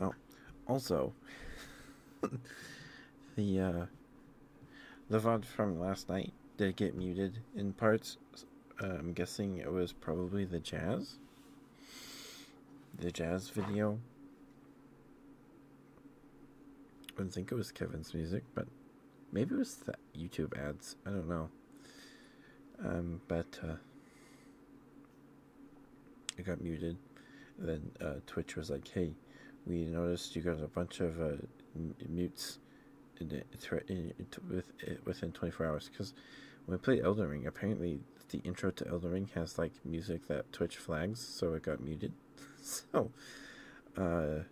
Oh, also, the uh, from last night did get muted in parts. Uh, I'm guessing it was probably the jazz, the jazz video. I do not think it was Kevin's music, but Maybe it was the YouTube ads. I don't know. Um, but uh, I got muted. then uh, Twitch was like, "Hey, we noticed you got a bunch of uh, mutes in, eh, within 24 hours." Because when we played Elden Ring, apparently the intro to Elden Ring has like music that Twitch flags, so it got muted. so, uh,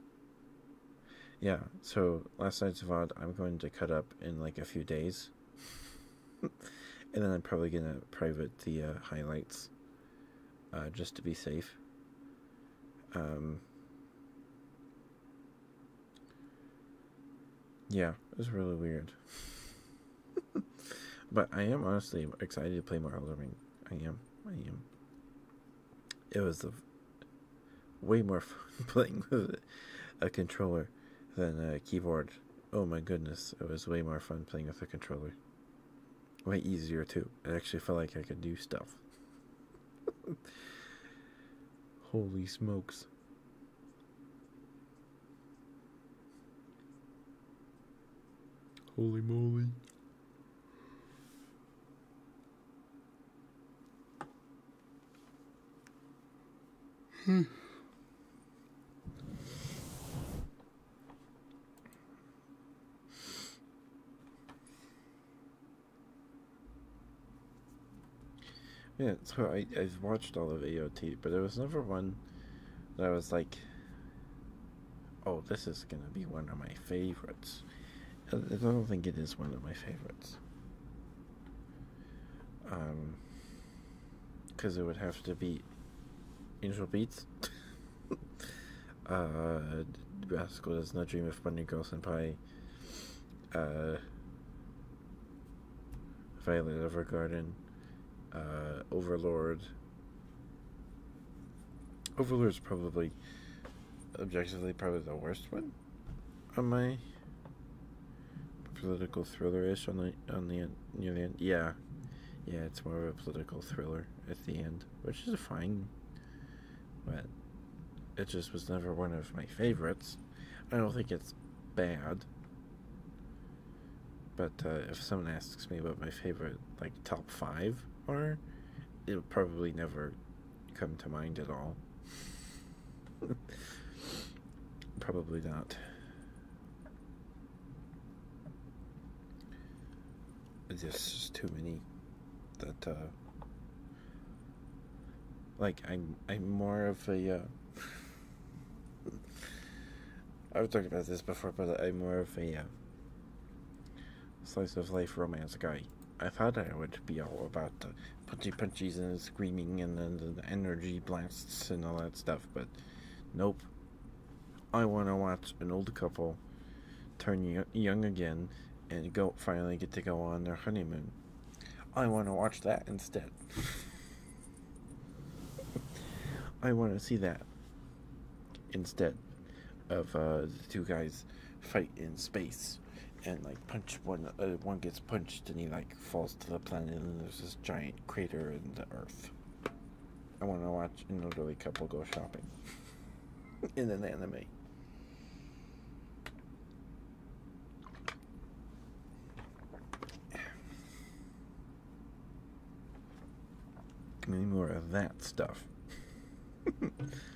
yeah, so last night's VOD I'm going to cut up in like a few days. and then I'm probably going to private the uh, highlights uh, just to be safe. Um, yeah, it was really weird. but I am honestly excited to play more Elden Ring. I am. I am it was way more fun playing with a controller than a keyboard. Oh my goodness, it was way more fun playing with a controller. Way easier too. It actually felt like I could do stuff. Holy smokes. Holy moly. Hmm. Yeah, so I, I've watched all of AOT, but there was never one that I was like, oh, this is going to be one of my favorites. I don't think it is one of my favorites. Um, because it would have to be Angel Beats. uh, Rascal Does Not Dream of Bunny Girl Senpai. Uh, Violet garden. Uh, Overlord. Overlord is probably, objectively, probably the worst one on my political thriller-ish on the on the near the end. Yeah, yeah, it's more of a political thriller at the end, which is fine, but it just was never one of my favorites. I don't think it's bad, but uh, if someone asks me what my favorite like top five are, it'll probably never come to mind at all. Probably not. There's just too many that, uh, like, I'm, I'm more of a, uh, I was talking about this before, but I'm more of a, uh, slice of life romance guy. I thought I would be all about the punchy punchies and screaming and the, the energy blasts and all that stuff, but nope. I want to watch an old couple turn young again and go finally get to go on their honeymoon. I want to watch that instead. I want to see that instead of uh, the two guys fight in space and like punch one uh, one gets punched and he like falls to the planet and there's this giant crater in the earth i want to watch an elderly couple go shopping in an anime Any more of that stuff.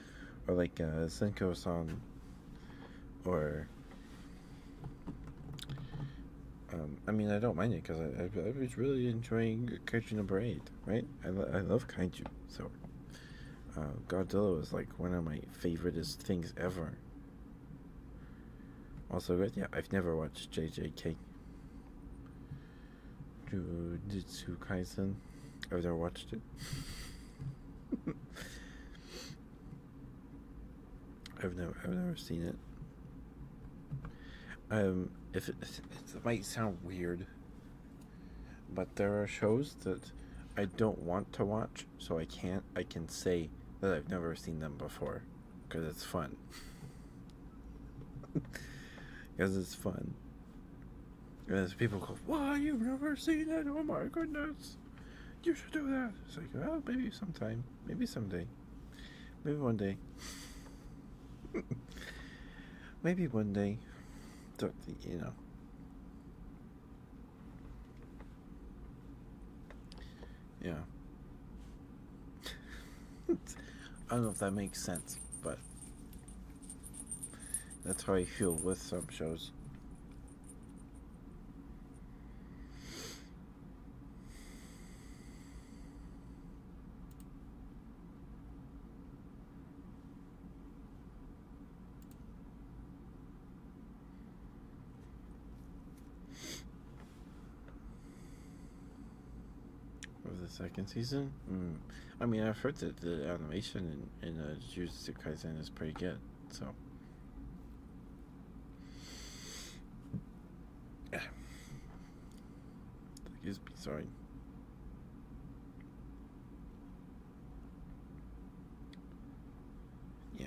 or like uh, Senko san or um, I mean I don't mind it because I, I, was really enjoying kaiju number eight right I, I love kaiju so uh, Godzilla is like one of my favoriteest things ever also good yeah I've never watched JJK Jujutsu Kaisen I've never watched it I've never, I've never seen it. Um, if it, it might sound weird, but there are shows that I don't want to watch, so I can't. I can say that I've never seen them before, because it's fun. Because it's fun. And as people go, why, you've never seen it? Oh my goodness. You should do that. It's like, well, maybe sometime. Maybe someday. Maybe one day. maybe one day. Don't, think you know. Yeah. I don't know if that makes sense, but that's how I feel with some shows. Of the second season? Hmm. I mean, I've heard that the animation and in in uh, Jujutsu Kaisen is pretty good. So. Excuse me, sorry. Yeah.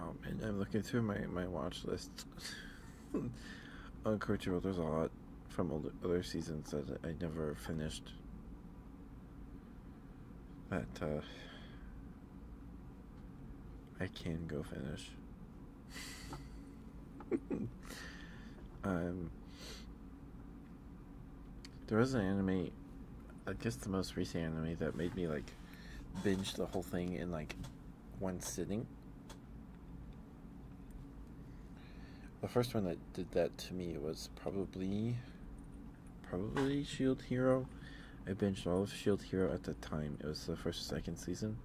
Oh man, I'm looking through my my watch list on Crunchyroll. There's a lot from older, other seasons that I never finished. but uh, I can go finish. um, there was an anime, I guess the most recent anime that made me like binge the whole thing in like one sitting. The first one that did that to me was probably probably Shield Hero. I binged all of Shield Hero at the time. It was the first second season.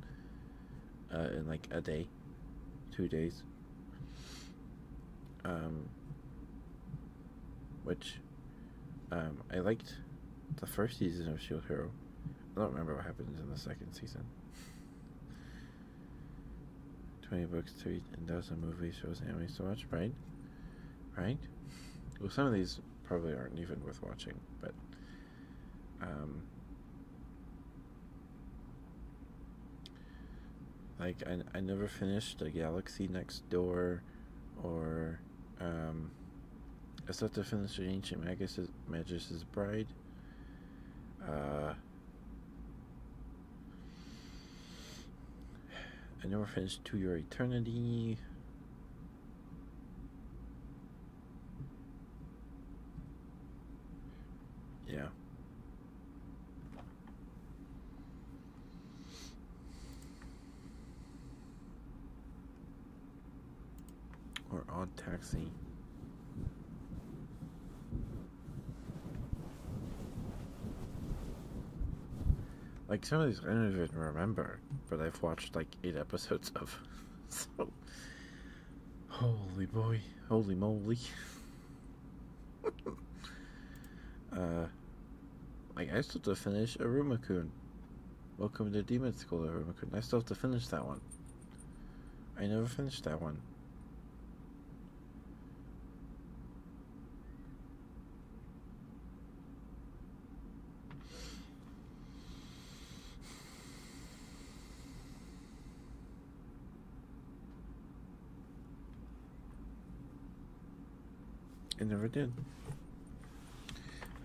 Uh, in like a day, two days um, which um, I liked the first season of Shield Hero. I don't remember what happens in the second season. 20 books to read and dozen movies shows anime so much, right? Right? Well, some of these probably aren't even worth watching, but um, like I, I never finished the Galaxy Next Door, or um, I started have to finish Ancient Magus's, Magus's Bride. Uh, I never finished To Your Eternity. Yeah. Or odd taxi. Like some of these I don't even remember, but I've watched like eight episodes of. holy boy, holy moly. uh, I still have to finish Arumakun. Welcome to Demon School, Arumakun. I still have to finish that one. I never finished that one. I never did.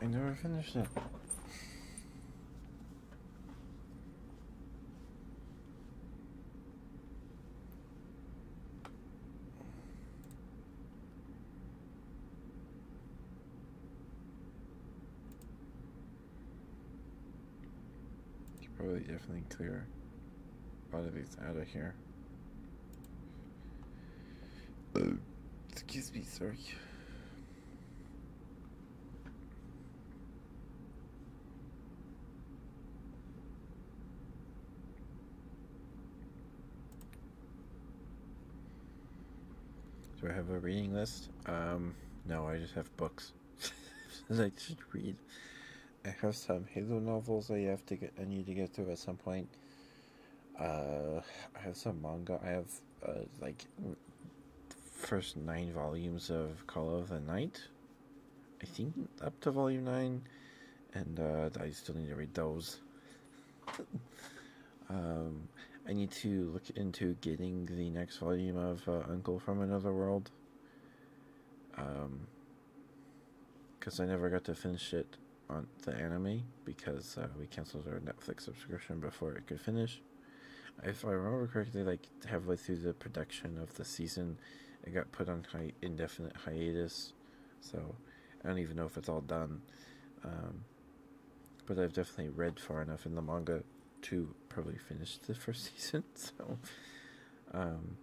I never finished it. It's probably definitely clear a lot of these out of here excuse me, sir. Do I have a reading list? Um, no, I just have books that I just read. I have some Halo novels that I have to get. I need to get through at some point. Uh, I have some manga. I have uh, like first nine volumes of Call of the Night. I think up to volume nine, and uh, I still need to read those. um, I need to look into getting the next volume of Uncle from Another World. Um, because I never got to finish it on the anime because uh, we canceled our Netflix subscription before it could finish. If I remember correctly, like halfway through the production of the season, it got put on hi- indefinite hiatus. So I don't even know if it's all done. Um, but I've definitely read far enough in the manga to probably finish the first season. So, um,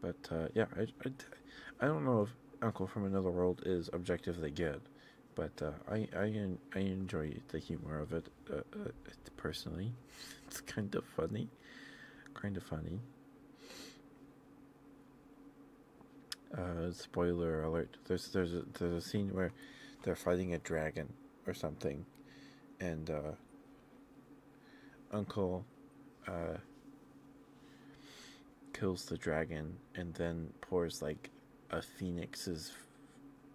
but uh, yeah, I, I, don't know if Uncle from Another World is objectively good, but uh, I, I I enjoy the humor of it uh, personally. It's kind of funny, kind of funny. spoiler alert! There's there's there's a scene where they're fighting a dragon or something, and Uncle uh, kills the dragon and then pours like a phoenix's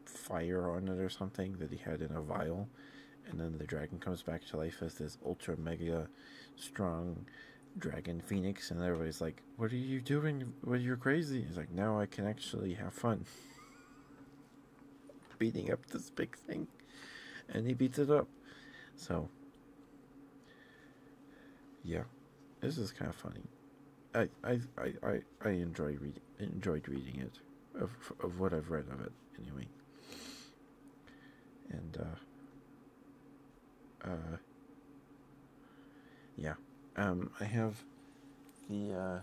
fire on it or something that he had in a vial. And then the dragon comes back to life as this ultra mega strong dragon phoenix. And everybody's like, What are you doing? Well, you crazy. He's like, Now I can actually have fun beating up this big thing. And he beats it up. So, yeah, this is kind of funny. I I I I, I enjoy reading enjoyed reading it of of what I've read of it anyway. And uh, uh, yeah, um, I have the uh,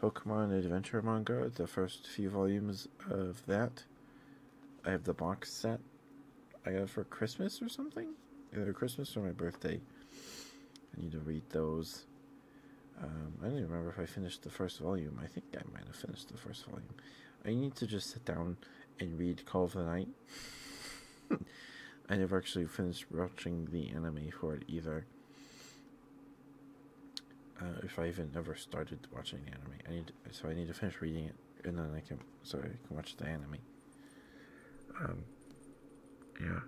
Pokemon Adventure manga, the first few volumes of that. I have the box set I got for Christmas or something, either Christmas or my birthday. I need to read those. Um, I don't even remember if I finished the first volume. I think I might have finished the first volume. I need to just sit down and read Call of the Night. I never actually finished watching the anime for it either. Uh, if I even ever started watching the anime, I need so I need to finish reading it, and then I can so I can watch the anime. Um, yeah.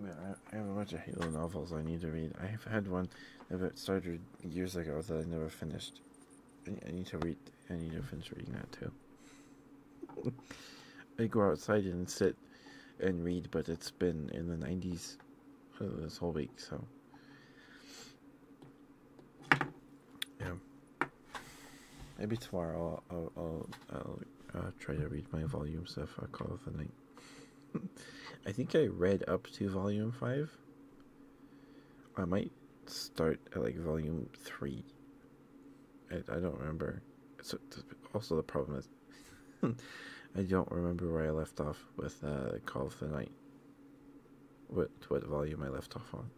I have a bunch of Halo novels I need to read. I have had one that started years ago that I never finished. I need to read I need to finish reading that too. I go outside and sit and read, but it's been in the 90s this whole week, so. Yeah. Maybe tomorrow I'll, uh, try to read my volume stuff. i call it the night. I think I read up to volume 5. I might start at like volume 3 I, don't remember. So also the problem is I don't remember where I left off with uh, Call of the Night. What what volume I left off on?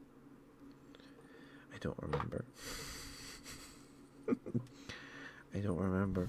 I don't remember. I don't remember.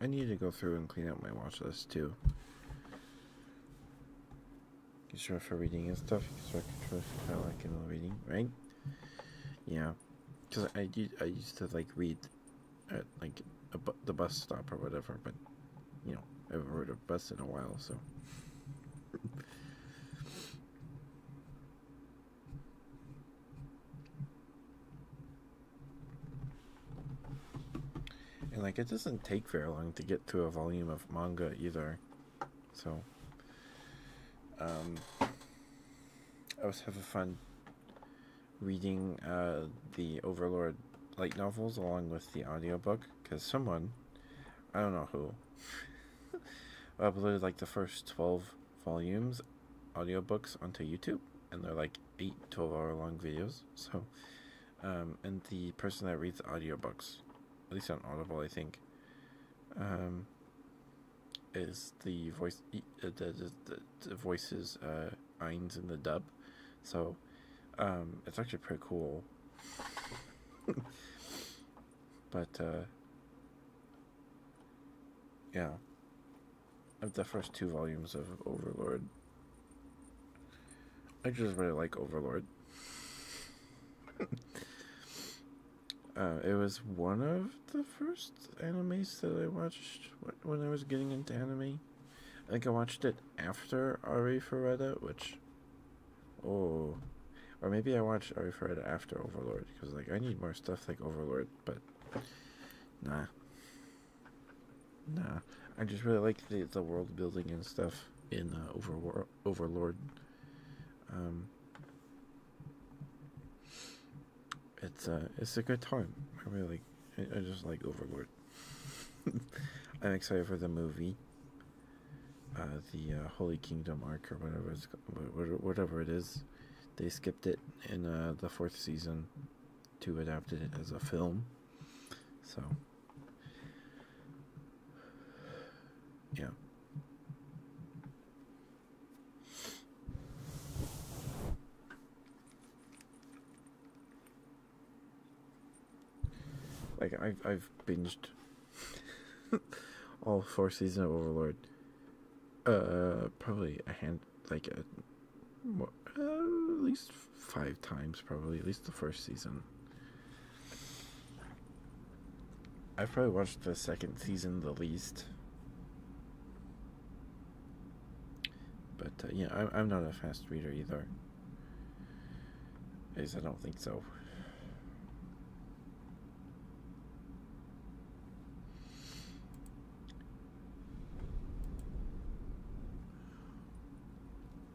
I need to go through and clean up my watch list too. It's sure for reading and stuff. You sure control for kind of reading, right? Yeah, because I did. I used to like read at like a bu the bus stop or whatever, but you know I haven't rode a bus in a while, so. And like it doesn't take very long to get to a volume of manga either. So um I was having fun reading uh the Overlord light novels along with the audiobook because someone I don't know who uploaded like the first 12 volumes audiobooks onto YouTube and they're like 8 12 hour long videos so um, and the person that reads audiobooks, at least on Audible, I think, um, is the voice uh, the, voices uh, Eines in the dub. So um, it's actually pretty cool. but uh, yeah, of the first two volumes of Overlord, I just really like Overlord. Uh, it was one of the first animes that I watched when I was getting into anime. I think I watched it after Ari Ferretta, which, oh, or maybe I watched Ari Ferretta after Overlord because like I need more stuff like Overlord, but nah, nah. I just really like the world building and stuff in uh, Overworld overlord. Um, it's uh, it's a good time. I really, I, I just like Overlord. I'm excited for the movie. Uh, the uh, Holy Kingdom arc or whatever it's whatever it is, they skipped it in uh, the fourth season to adapt it as a film. So yeah. Like I've I've binged all four seasons of Overlord. Uh, probably a hand like a uh, at least five times, probably at least the first season. I've probably watched the second season the least. But uh, yeah, I'm, I'm not a fast reader either. At least I don't think so.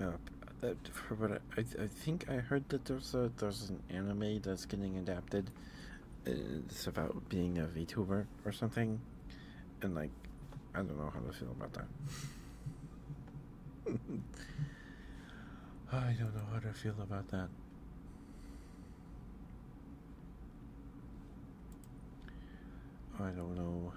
Uh, that, I, I, I, think I heard that there's a there's an anime that's getting adapted. It's about being a VTuber or something, and like, I don't know how to feel about that. I don't know how to feel about that. I don't know.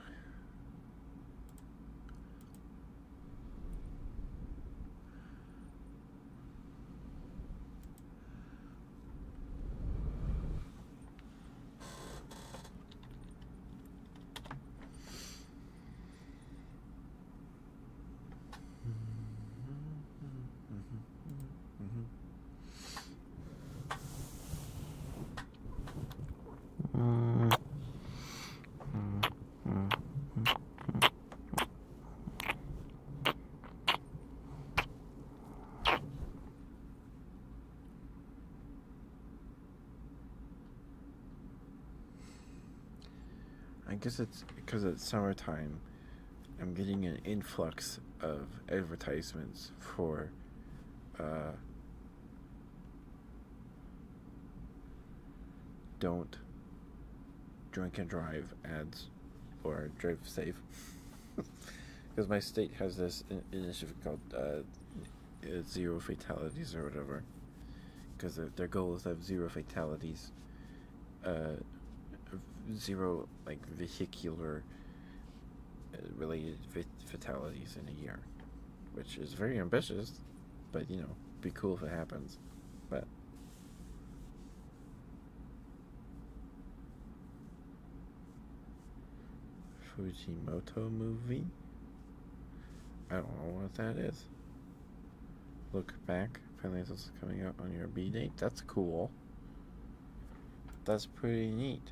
Mm-hmm. Mm-hmm. Mm-hmm. I guess it's because it's summertime. I'm getting an influx of advertisements for uh, don't drink and drive ads or drive safe. Because my state has this initiative called uh, uh, Zero Fatalities or whatever. Because their, their goal is to have zero fatalities, uh, zero like vehicular related fatalities in a year, which is very ambitious, but you know, be cool if it happens. But Fujimoto movie? I don't know what that is. Look back. Finally, it's also coming out on your B date. That's cool. That's pretty neat.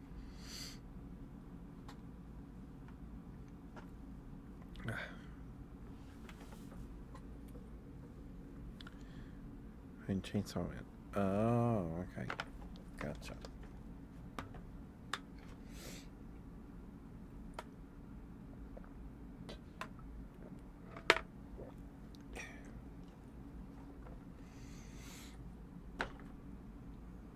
i And chainsaw man. Oh, okay. Gotcha.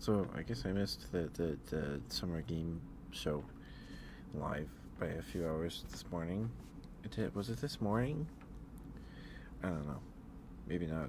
So I guess I missed the, the, the summer game show live by a few hours this morning. It was it this morning? I don't know. Maybe not.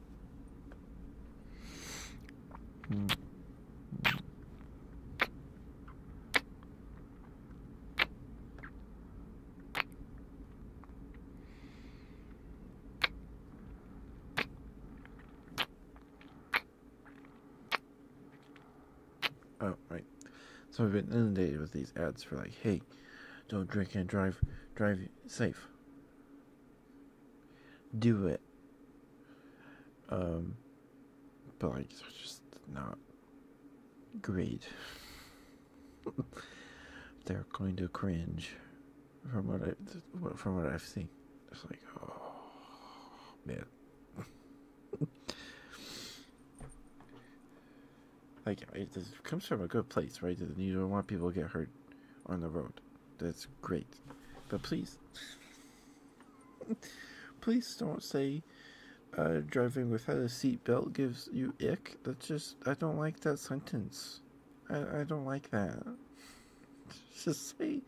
Oh, right. So I've been inundated with these ads for like, hey, don't drink and drive, drive safe do it. Um, but like, it's just not great. They're going to cringe from what I from what I've seen. It's like, oh man. like it comes from a good place, right? You don't want people to get hurt on the road. That's great. But please, please don't say uh, driving without a seat belt gives you ick. That's just, I don't like that sentence. I, don't like that. Just say,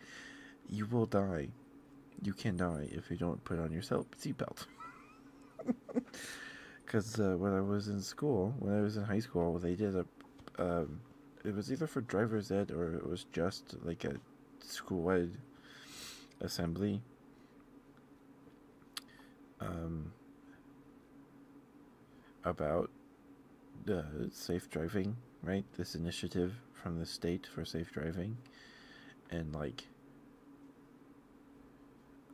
you will die. You can die if you don't put on your seat belt. Because uh, when I was in school, when I was in high school, they did a um, it was either for driver's ed or it was just like a school-wide assembly. Um, about uh, safe driving, right? This initiative from the state for safe driving, and like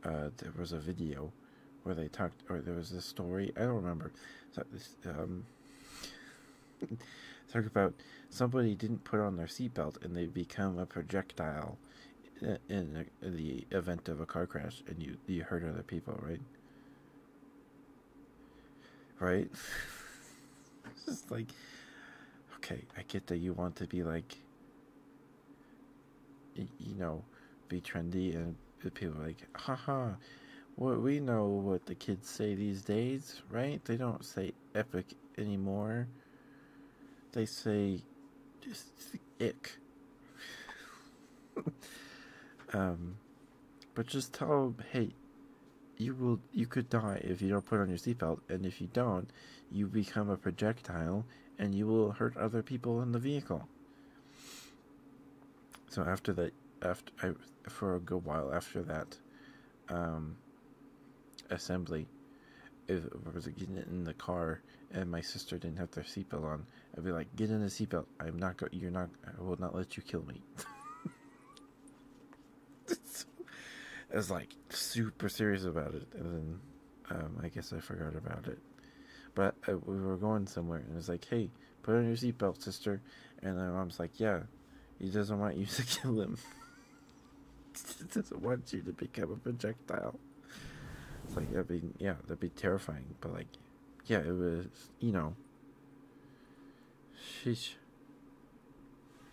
uh, there was a video where they talked, or there was this story. I don't remember. Um, about somebody didn't put on their seatbelt and they become a projectile in, the event of a car crash, and you you hurt other people, right? Right. it's like, okay, I get that you want to be like, you know, be trendy and people like, haha, what we know what the kids say these days, right? They don't say epic anymore. They say just ick. um, but just tell hey, you will you could die if you don't put on your seatbelt, and if you don't, you become a projectile, and you will hurt other people in the vehicle so after that, after I, for a good while after that um, assembly, if I was getting in the car and my sister didn't have their seatbelt on, I'd be like, "Get in the seatbelt. I'm not going. You're not. I will not let you kill me." I was like super serious about it, and then um, I guess I forgot about it. But uh, we were going somewhere, and it was like, "Hey, Put on your seatbelt, sister. And the mom's like, yeah, he doesn't want you to kill him. he doesn't want you to become a projectile. It's like, that'd be, yeah, that'd be terrifying. But like, yeah, it was, you know, sheesh.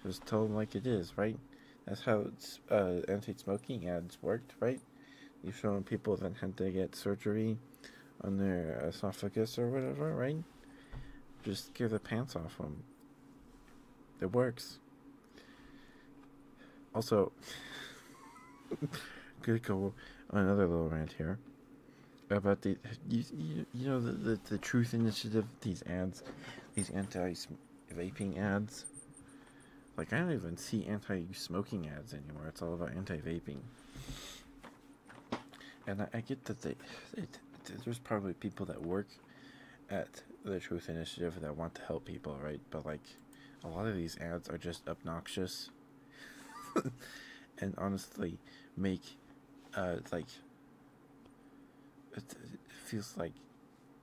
Just tell them like it is, right? That's how uh, anti-smoking ads worked, right? You've shown people that had to get surgery on their esophagus or whatever, right? Just give the pants off them. It works. Also, could go on another little rant here about the you, you, you know the, the, the truth initiative these ads these anti vaping ads like I don't even see anti smoking ads anymore it's all about anti vaping and I, get that they, there's probably people that work at the Truth Initiative that want to help people, right? But like, a lot of these ads are just obnoxious, and honestly, make uh like it, feels like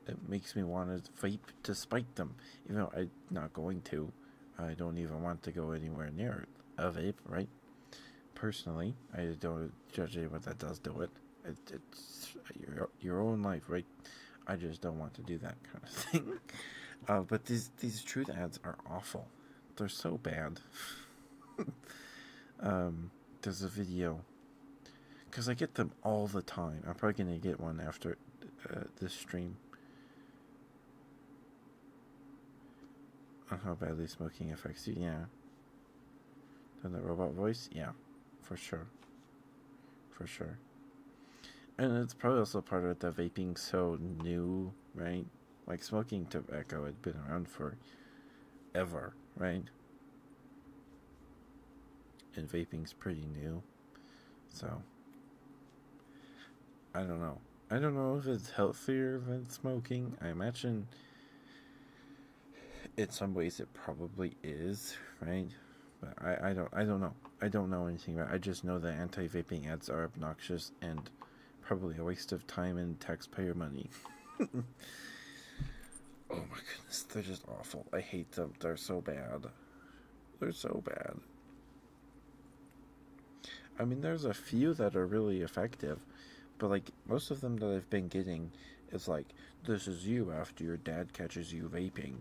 it makes me want to fight to spite them, even though I'm not going to. I don't even want to go anywhere near it, of it, right? Personally, I don't judge anyone that does do it. It's your your own life, right? I just don't want to do that kind of thing. Uh, but these these truth ads are awful. They're so bad. um, there's a video because I get them all the time. I'm probably gonna get one after uh, this stream. How uh-huh, badly smoking affects you? Yeah. Then the robot voice? Yeah, for sure. For sure. And it's probably also part of the vaping so new, right? Like smoking tobacco had been around for ever, right? And vaping's pretty new. So I don't know. I don't know if it's healthier than smoking. I imagine in some ways it probably is, right? But I, I don't I don't know. I don't know anything about I just know that anti vaping ads are obnoxious and probably a waste of time and taxpayer money. oh my goodness, they're just awful. I hate them. They're so bad. They're so bad. I mean, there's a few that are really effective, but like most of them that I've been getting is like, this is you after your dad catches you vaping.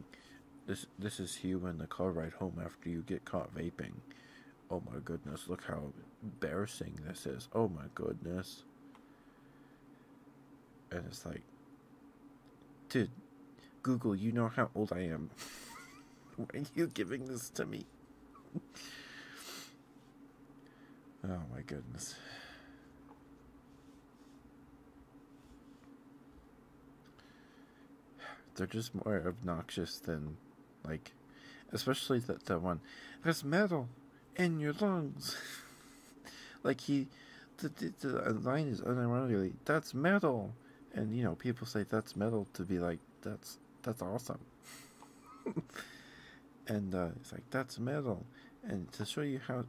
This this is you in the car ride home after you get caught vaping. Oh my goodness, look how embarrassing this is. Oh my goodness. And it's like, dude, Google, you know how old I am. Why are you giving this to me? oh my goodness. They're just more obnoxious than, like, especially that, that one. There's metal in your lungs. like, he, the, the, the line is unironically, that's metal. And, you know, people say that's metal to be like, that's that's awesome. and uh, it's like that's metal, and to show you how,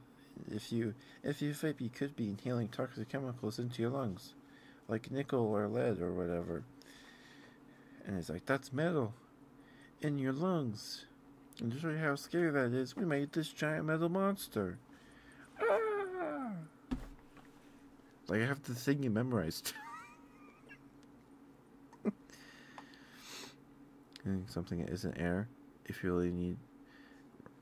if you if you vape, you could be inhaling toxic chemicals into your lungs, like nickel or lead or whatever. And it's like that's metal, in your lungs. And to show you how scary that is, we made this giant metal monster. Ah! Like I have the thing you memorized. something isn't air. If you really need,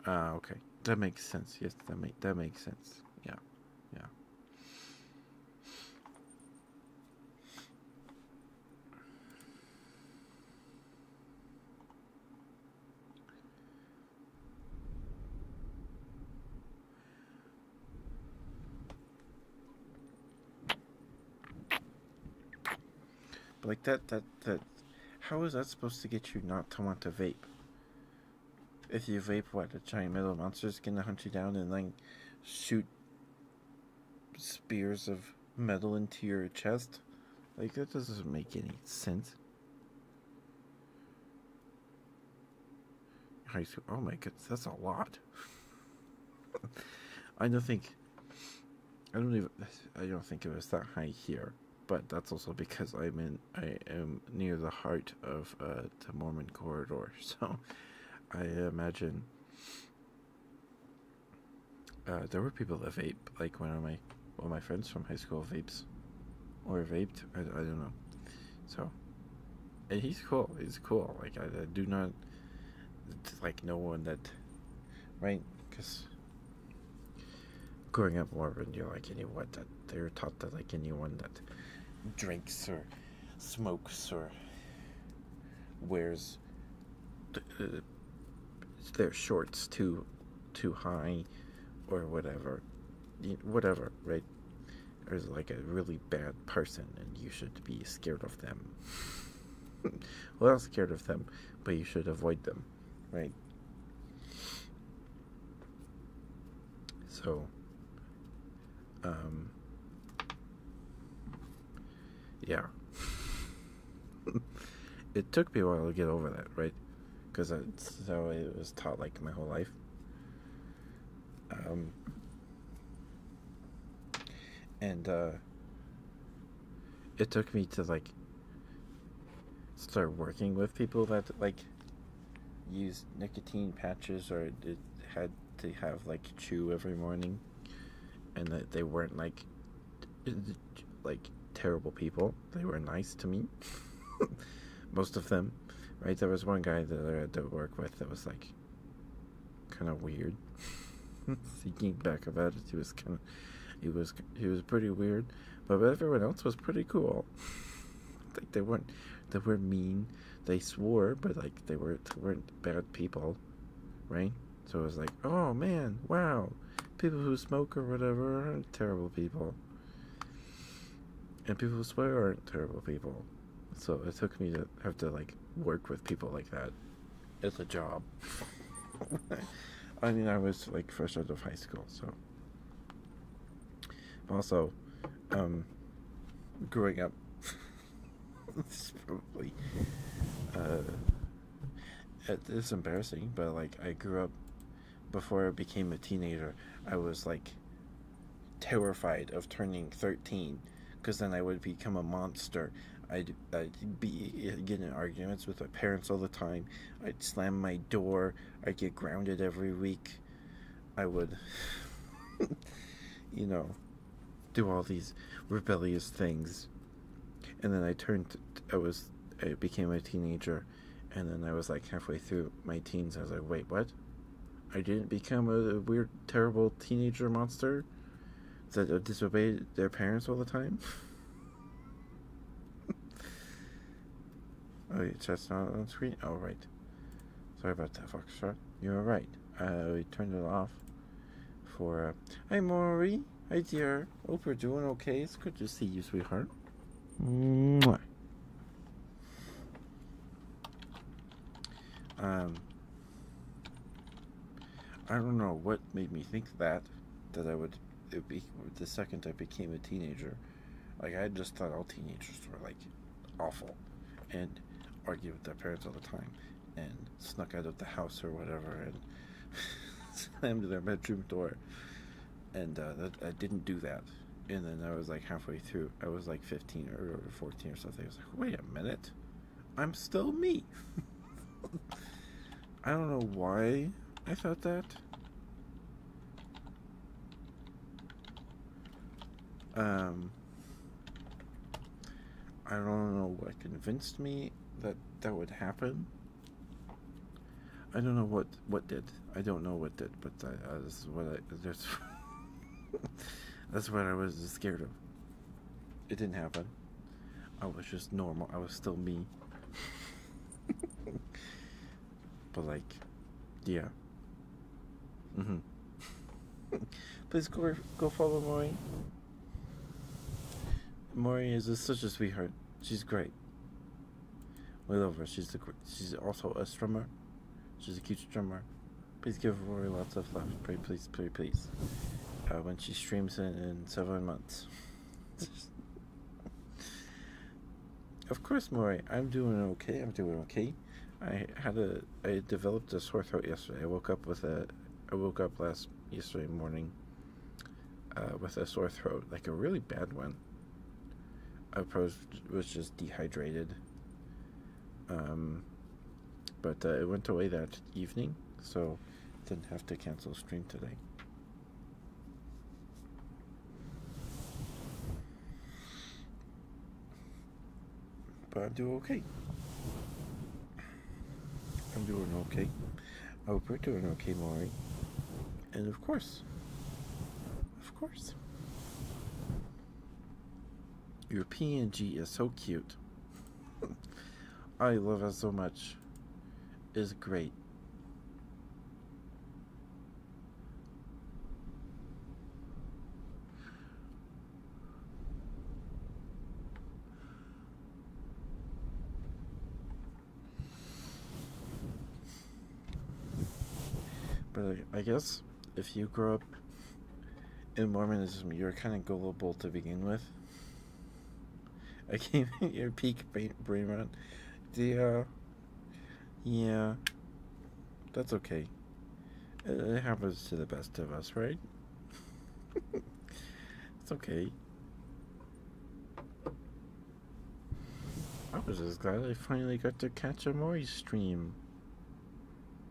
ah, okay, that makes sense. Yes, that make that makes sense. Yeah, yeah like that, that, that, how is that supposed to get you not to want to vape? If you vape, what, a giant metal monster is gonna hunt you down and then shoot spears of metal into your chest? Like, that doesn't make any sense. High school. Oh my goodness, that's a lot. I don't think. I don't even. I don't think it was that high here, but that's also because I'm in. I am near the heart of uh, the Mormon corridor, so I imagine uh, there were people that vape. Like one of my one of my friends from high school vapes, or vaped. I, I don't know. So and he's cool. He's cool. Like I, do not like no one that, right? Because growing up Mormon, you're like anyone that they're taught that like anyone that drinks or smokes or wears their shorts too too high or whatever, whatever, right? is like a really bad person and you should be scared of them. well, not scared of them, but you should avoid them, right? So, um, yeah. it took me a while to get over that, right? Because that's how it was taught like my whole life. Um, and uh, it took me to like start working with people that like used nicotine patches or it had to have like chew every morning and that they weren't like like terrible people they were nice to me most of them right there was one guy that i had to work with that was like kind of weird. Thinking back about it, he was kind of, he was he was pretty weird, but everyone else was pretty cool. like they weren't, they were mean. They swore, but like they were they weren't bad people, right? So it was like, oh man, wow, people who smoke or whatever aren't terrible people, and people who swear aren't terrible people. So it took me to have to like work with people like that It's a job. I mean, I was like fresh out of high school, so. Also, um, growing up, this probably uh, it is embarrassing, but like I grew up before I became a teenager. I was like terrified of turning 13 because then I would become a monster. I'd, I'd be eh, getting arguments with my parents all the time. I'd slam my door. I'd get grounded every week. I would, you know, do all these rebellious things. And then I turned, I was, I became a teenager. And then I was like halfway through my teens. I was like, wait, what? I didn't become a, weird, terrible teenager monster that uh, disobeyed their parents all the time. oh, it's just not on screen? Oh, right. Sorry about that, Fox Foxtrot. You were right. I turned it off for. Uh... Hi, Maury. Hi, dear. Hope you're doing okay. It's good to see you, sweetheart. Mwah. Um, I don't know what made me think that that I would it be the second I became a teenager. Like I just thought all teenagers were like awful and argued with their parents all the time and snuck out of the house or whatever and slammed their bedroom door. And uh, that, I didn't do that. And then I was like halfway through I was like 15 or 14 or something. I was like, wait a minute, I'm still me. I don't know why I thought that. Um, I don't know what convinced me that that would happen. I don't know what what did. I don't know what did, but that, uh, this what I. There's that's what I was scared of. It didn't happen. I was just normal. I was still me. but like, yeah. Mhm. Mm Please go go follow Maury. Maury is a, such a sweetheart. She's great. We love her. She's the she's also a strummer She's a cute drummer. Please give Rory lots of love. Pray, please, pray, please. Uh, when she streams in, in seven months. of course, Maury. I'm doing okay. I'm doing okay. I had a. I developed a sore throat yesterday. I woke up with a. I woke up last yesterday morning. Uh, with a sore throat, like a really bad one. I was was just dehydrated. Um, but uh, it went away that evening, so didn't have to cancel stream today. But I'm doing okay. I'm doing okay. I hope you're doing okay, Maury. And of course, of course. Your PNG is so cute. I love it so much. It's great. But I guess if you grow up in Mormonism, you're kind of gullible to begin with. I came at your peak brain rot. The, uh, yeah, that's okay. It happens to the best of us, right? it's okay. I was just glad I finally got to catch a Mori stream.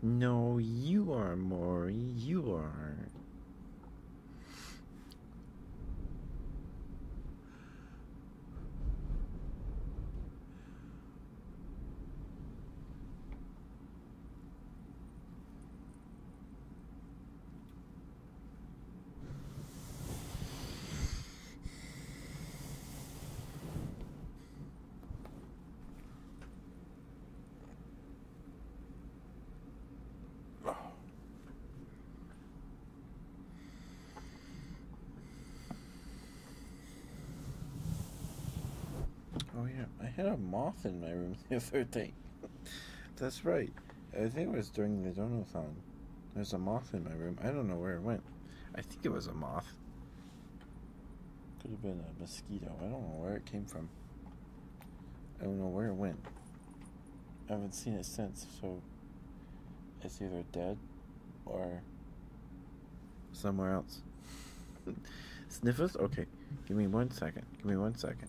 No, you are, more. You are. Oh yeah, I had a moth in my room the other That's right. I think it was during the Donothon. There's a moth in my room. I don't know where it went. I think it was a moth. Could have been a mosquito. I don't know where it came from. I don't know where it went. I haven't seen it since, so it's either dead or somewhere else. Sniffles? Okay. Give me one second. Give me one second.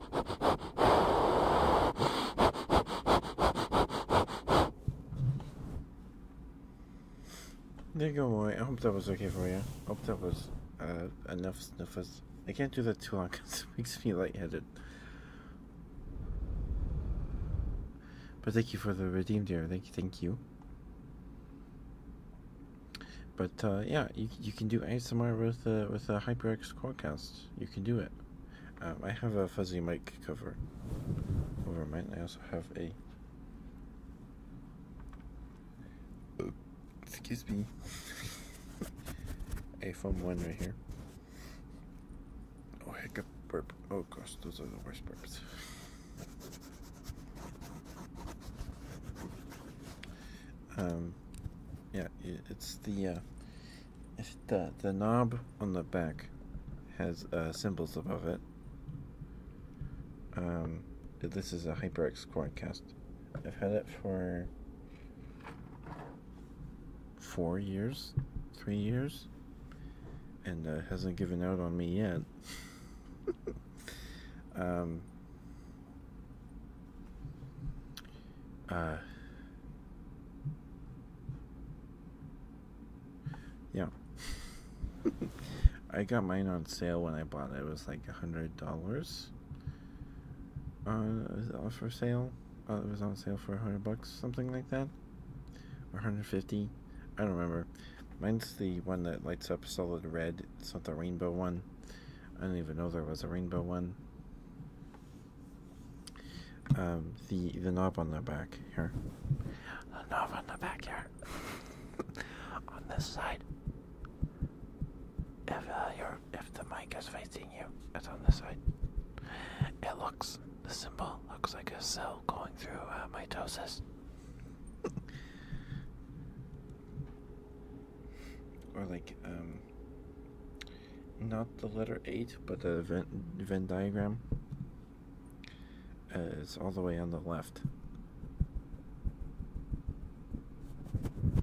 There you go, Roy. I hope that was okay for you. I hope that was uh, enough sniffers. I can't do that too long because it makes me lightheaded. But thank you for the redeem, dear. Thank you, thank you. But uh, yeah, you you can do ASMR with uh, with a HyperX Quadcast. You can do it. Um, I have a fuzzy mic cover over mine. I also have a. excuse me. a foam one right here. Oh, hiccup burp. Oh gosh, those are the worst burps. Um, yeah, it's the uh, if the the knob on the back has uh, symbols above it. Um, this is a HyperX Quadcast. I've had it for four years, three years, and uh, hasn't given out on me yet. um, uh, yeah. I got mine on sale when I bought it. It was like a hundred dollars. Uh, for sale. Uh, it was on sale for a hundred bucks, something like that, or hundred fifty. I don't remember. Mine's the one that lights up solid red. It's not the rainbow one. I didn't even know there was a rainbow one um, the the knob on the back here. The knob on the back here. on this side. If uh, you're, if the mic is facing you, it's on this side. It looks the symbol looks like a cell going through uh, mitosis. or like um not the letter 8 but the Venn, Venn diagram uh, it's all the way on the left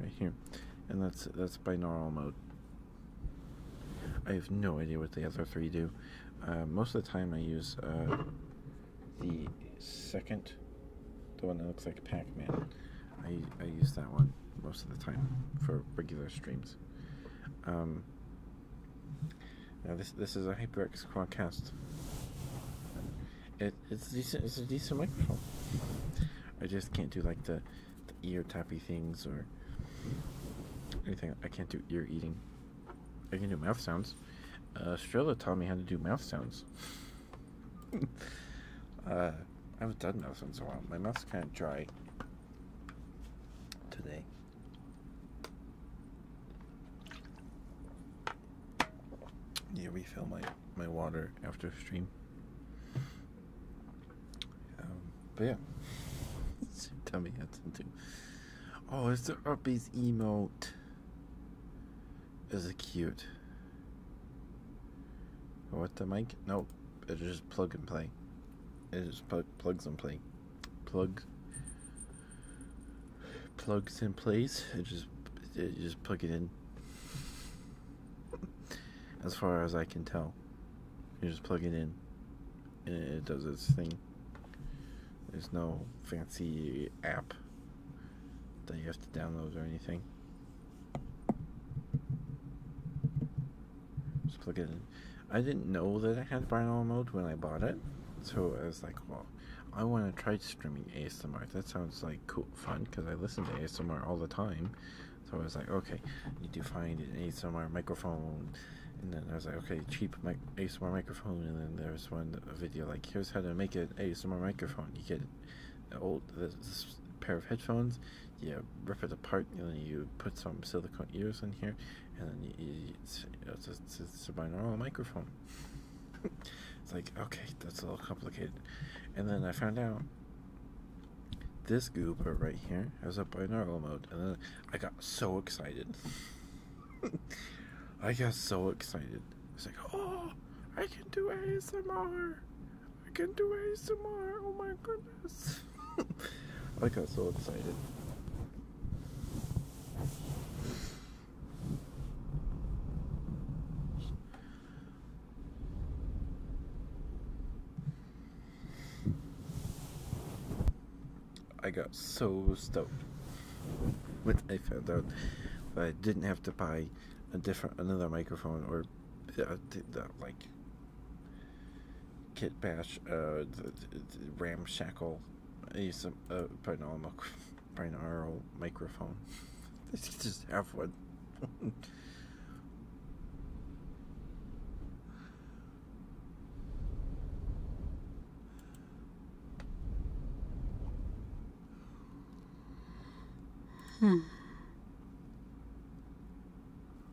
right here and that's that's binaural mode I have no idea what the other three do uh, most of the time I use uh, the second the one that looks like Pac-Man I, I use that one most of the time for regular streams um, now this this is a HyperX Quadcast. It it's decent. It's a decent microphone. I just can't do like the, ear tappy things or anything. I can't do ear eating. I can do mouth sounds. Uh, Strella taught me how to do mouth sounds. Uh, I haven't done those ones in a while. My mouth's kind of dry today. Yeah, refill my my water after a stream. Um, but yeah, tummy me how Oh, is there Uppies emote. Is it cute? What the mic? Nope, it's just plug and play. It just plug, plugs and play, plug, plugs in place. It just, just plug it in. as far as I can tell, you just plug it in, and it does its thing. There's no fancy app that you have to download or anything. Just plug I didn't know that I had binaural mode when I bought it, so I was like, well, I want to try streaming ASMR. That sounds like cool, fun, because I listen to ASMR all the time. So I was like, okay, need to find an ASMR microphone. And then I was like, okay, cheap ASMR microphone. And then there was one video like, here's how to make an ASMR microphone. You get an old pair of headphones, yeah, rip it apart and then you put some silicone ears in here and then it's, it's, it's a binaural microphone. it's like, okay, that's a little complicated. And then I found out this goober right here has a binaural mode. And then I got so excited. I got so excited. It's like, oh, I can do ASMR. I can do ASMR. Oh my goodness. I got so excited. I got so stoked when I found out that I didn't have to buy a different another microphone or uh, like Kit Bash, uh, the, ramshackle, use uh, a, a binaural, microphone. This is one. hmm.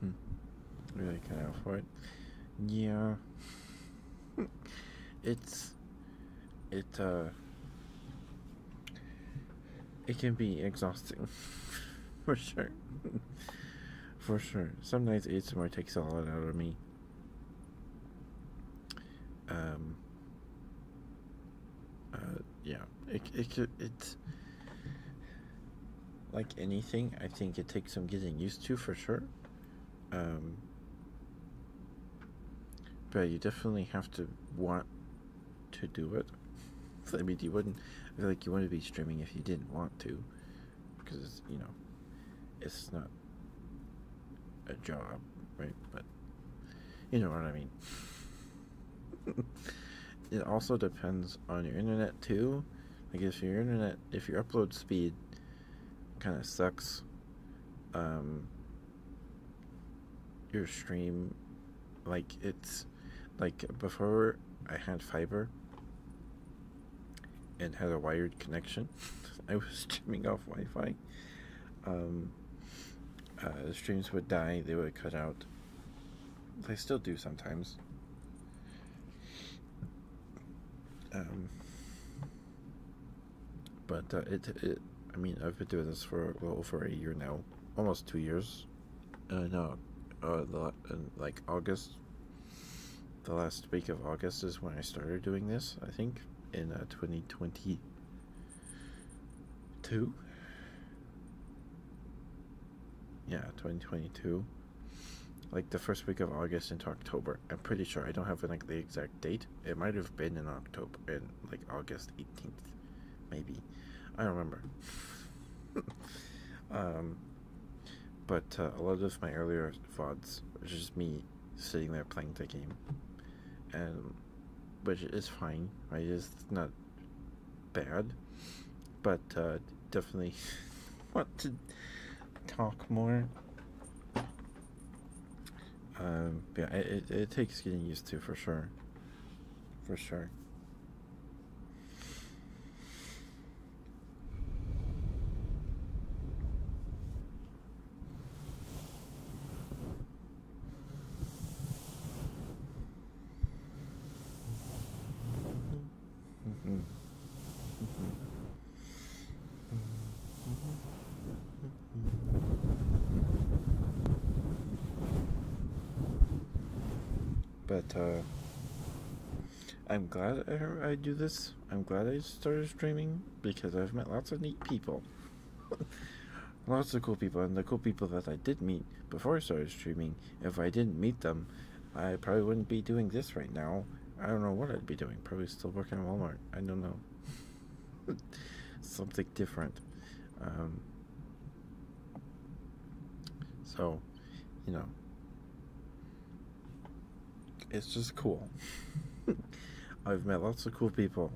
Hmm. Really cut out for it. Yeah. it's it uh it can be exhausting for sure for sure Sometimes it's more takes a lot out of me um uh, yeah, it it it, like anything, I think it takes some getting used to for sure. Um, but you definitely have to want to do it. I mean, you wouldn't. like you wouldn't be streaming if you didn't want to, because you know, it's not a job, right? But you know what I mean it also depends on your internet too. Like if your internet, if your upload speed kind of sucks, um, your stream, like it's, like before I had fiber and had a wired connection, I was streaming off Wi-Fi. Um, the uh, streams would die; they would cut out they still do sometimes. Um, but uh, it, it, I mean, I've been doing this for well over a year now, almost two years. Uh, no, uh, the, uh, like August, the last week of August is when I started doing this. I think in uh, 2022 yeah 2022 like the first week of august into october i'm pretty sure i don't have like the exact date it might have been in october in like august 18th maybe i remember um but uh, a lot of my earlier vods was just me sitting there playing the game and which is fine I just not bad, but uh, definitely want to talk more. Um, yeah, it, it takes getting used to for sure. For sure. But uh, I'm glad I, I do this. I'm glad I started streaming because I've met lots of neat people. lots of cool people, and the cool people that I did meet before I started streaming, if I didn't meet them, I probably wouldn't be doing this right now. I don't know what I'd be doing. Probably still working at Walmart. I don't know. Something different. Um, so, you know, it's just cool. I've met lots of cool people.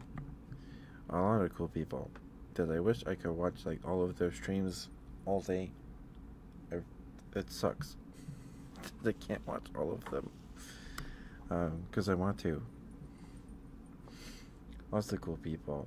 A lot of cool people that I wish I could watch like all of their streams all day it sucks. I can't watch all of them because um, I want to. Lots of cool people.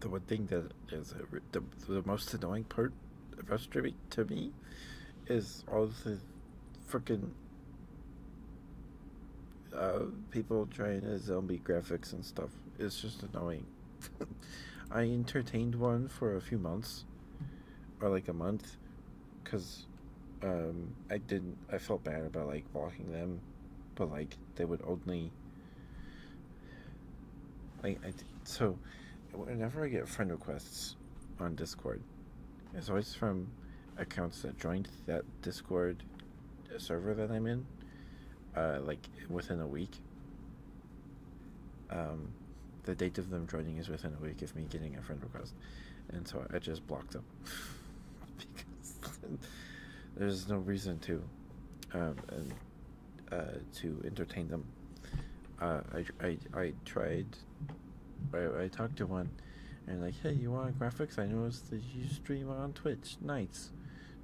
the one thing that is the, the most annoying part frustrating to me is all the freaking uh, people trying to zombie graphics and stuff. It's just annoying. I entertained one for a few months, or like a month, because um, I didn't. I felt bad about like blocking them, but like they would only like I so whenever I get friend requests on Discord, it's always from accounts that joined that Discord server that I'm in, uh, like within a week. Um, the date of them joining is within a week of me getting a friend request, and so I just blocked them because there's no reason to, um, and, uh, to entertain them. Uh, I, I I tried I, I talked to one and like, hey, you want graphics? I noticed that you stream on Twitch nights.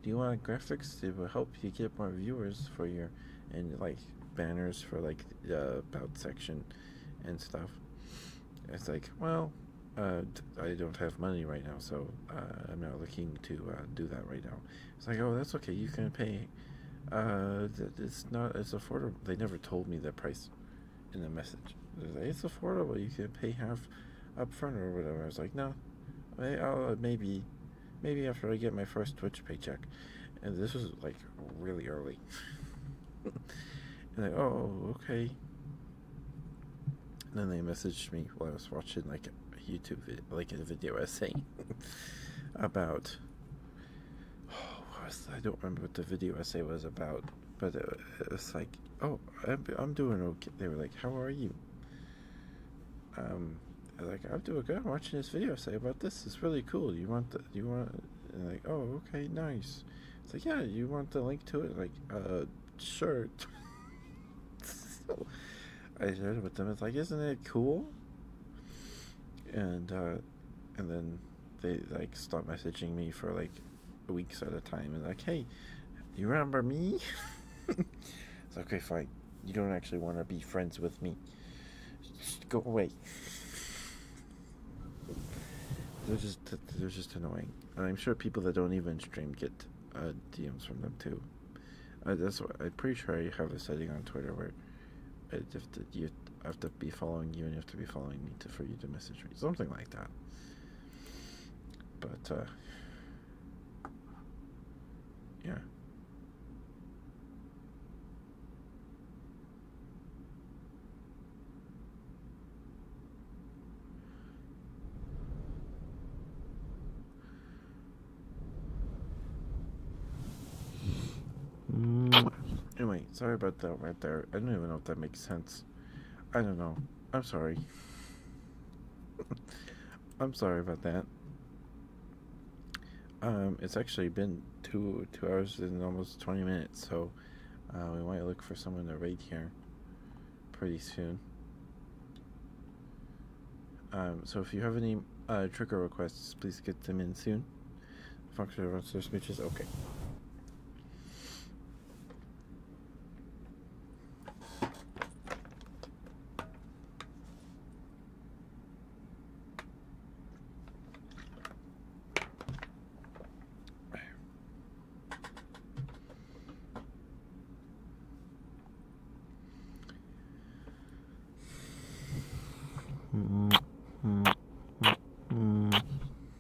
Do you want graphics? It will help you get more viewers for your and like banners for like the uh, about section and stuff. It's like, well, uh, I don't have money right now, so uh, I'm not looking to uh, do that right now. It's like, oh, that's okay. You can pay. it's not. It's affordable. They never told me the price in the message. Like, it's affordable. You can pay half up front or whatever. I was like, no, I'll uh, maybe, maybe after I get my first Twitch paycheck. And this was like really early. and like, oh, okay. And then they messaged me while I was watching like a YouTube video, like a video essay about I don't remember what the video essay was about, but it, was like, oh, I'm, I'm doing okay. They were like, how are you? Um, like I'm doing good. I'm watching this video essay about this. is really cool. You want the you want like oh okay nice. It's like yeah you want the link to it like uh sure. so I shared it with them. It's like isn't it cool? And uh, and then they like stop messaging me for like weeks at a time and like hey you remember me it's like, okay fine you don't actually want to be friends with me just go away they're just they're just annoying and i'm sure people that don't even stream get uh, dms from them too uh, that's what i'm pretty sure i have a setting on twitter where uh, if the, you I have to be following you, and you have to be following me to for you to message me, something like that. But uh, yeah. Mm. Anyway, sorry about that right there. I don't even know if that makes sense. I don't know. I'm sorry. I'm sorry about that. Um, it's actually been two two hours and almost twenty minutes, so uh, we might look for someone to raid here pretty soon. Um, so if you have any uh, trigger requests, please get them in soon. Fox runs those bitches. Okay. Mm-hmm.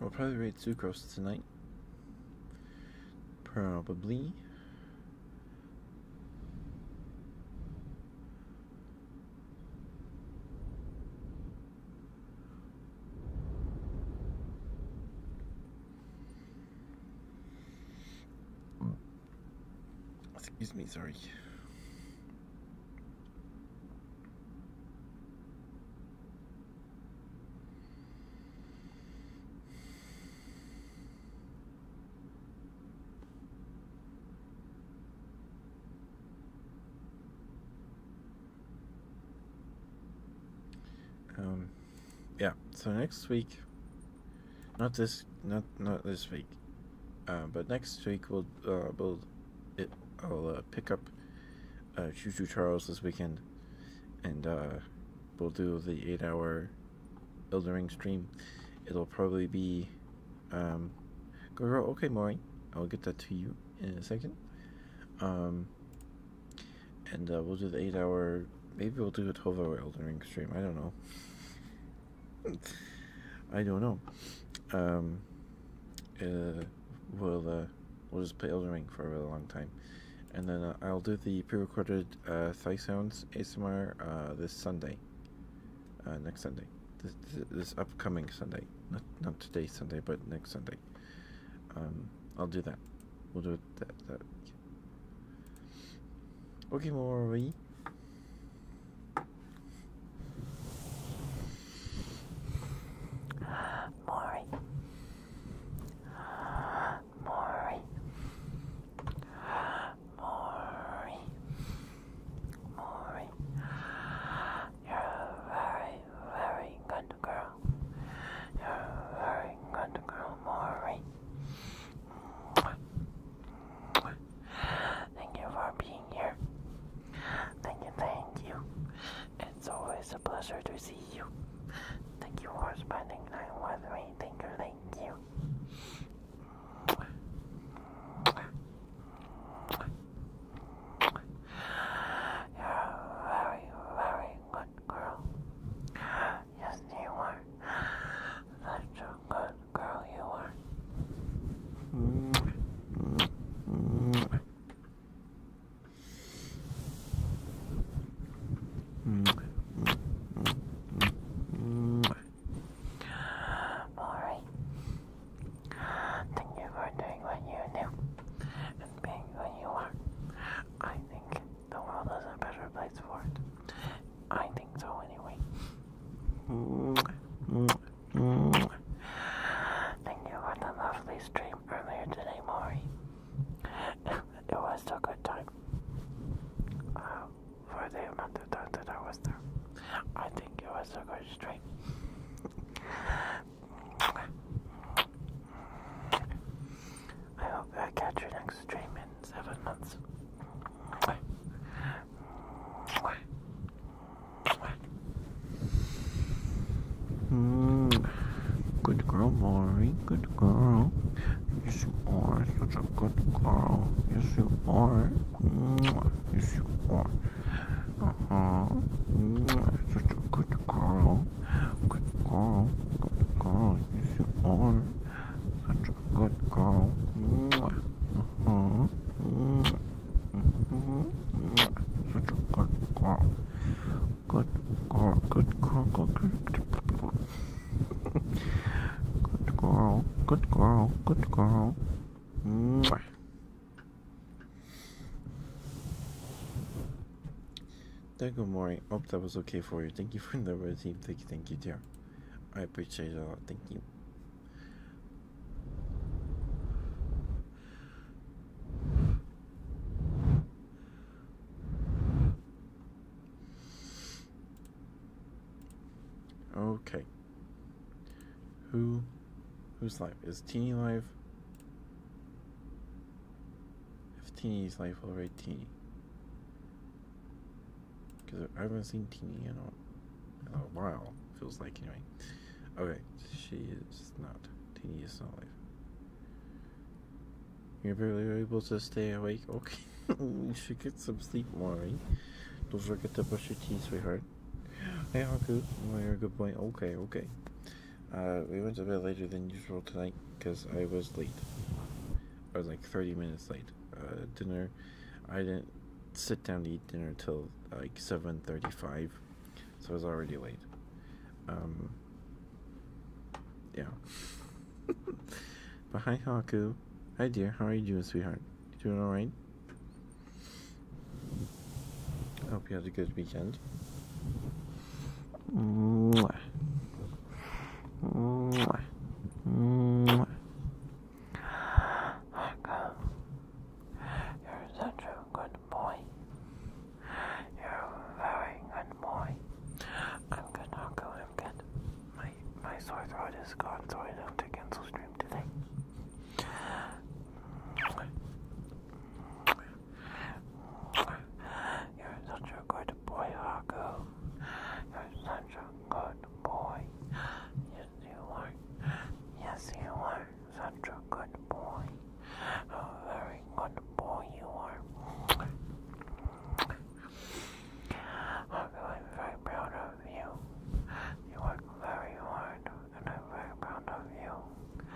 We'll probably raid Sucrose tonight. Probably. Excuse me, sorry. Um, yeah, so next week, not this, not not this week, uh, but next week we'll uh, we it, I'll uh, pick up uh, Choo Choo Charles this weekend, and uh, we'll do the eight-hour Eldering stream. It'll probably be, um, girl, okay, Maury, I'll get that to you in a second. Um, and uh, we'll do the eight hour. Maybe we'll do a 12 hour Elden Ring stream. I don't know. I don't know. Um, uh, we'll, uh, we'll just play Elden Ring for a really long time. And then uh, I'll do the pre recorded uh, Thigh Sounds ASMR uh, this Sunday. Uh, next Sunday. This, this, this upcoming Sunday. Not, not today, Sunday, but next Sunday um I'll do that. We'll do it that that Okay, where we? Maury. Maury. Maury. Maury. You're a very, very good girl. You're a very good girl, Maury. Thank you for being here. Thank you, thank you. It's always a pleasure to see you. Thank you for spending time with me. Thank you, you. are very, very good girl. Yes, you are. Such a good girl you are. Alright. Thank you for doing what you do and being who you are. I think the world is a better place for it. I think so, anyway. Thank you for the lovely stream earlier today, Maury. it was a good time. Uh, for the amount of time that I was there, I think it was a good stream. I hope I catch your next stream in seven months. Mm. Good girl, Maury. Good girl. Yes, you are such a good girl. Yes, you are. Yes, you are. Uh uh-huh. huh. Hmm. Such a good girl. Good girl. Good girl. Yes, you are. Such a good girl. Mwah. Uh-huh. Mwah. Uh-huh. Such a good girl. Good girl. Good girl. Good girl. Good girl. Good girl. Good girl. Mwah. Dango Mori, hope that was okay for you. Thank you for the red team. Thank you, thank you, dear. I appreciate it a lot. Thank you. Okay. Who who's live? Is Teeny live? If Teeny's life already Teeny, Because I haven't seen Teeny in a, while, feels like anyway. Okay, she is not. Teeny is not alive. You're barely able to stay awake? Okay, you should get some sleep, Mari. Don't forget to brush your teeth, sweetheart. Hey, Haku. Oh, you're a good point. Okay, okay. Uh, we went a bit later than usual tonight because I was late. I was like 30 minutes late. Uh, dinner, I didn't sit down to eat dinner until like 7.35, so I was already late. Um, yeah. but hi, Haku. Hi, dear. How are you doing, sweetheart? You doing alright? I hope you had a good weekend. Mwah. you're such a good boy. You're a very good boy. I'm good, Uncle. I'm My my sore throat is gone, so I don't have to cancel stream today. You're such a good boy, Haku. You're such a good boy. Yes, you are. Yes, you are. Such a good boy. A very good boy you are. Haku, I'm very proud of you. You work very hard, and I'm very proud of you.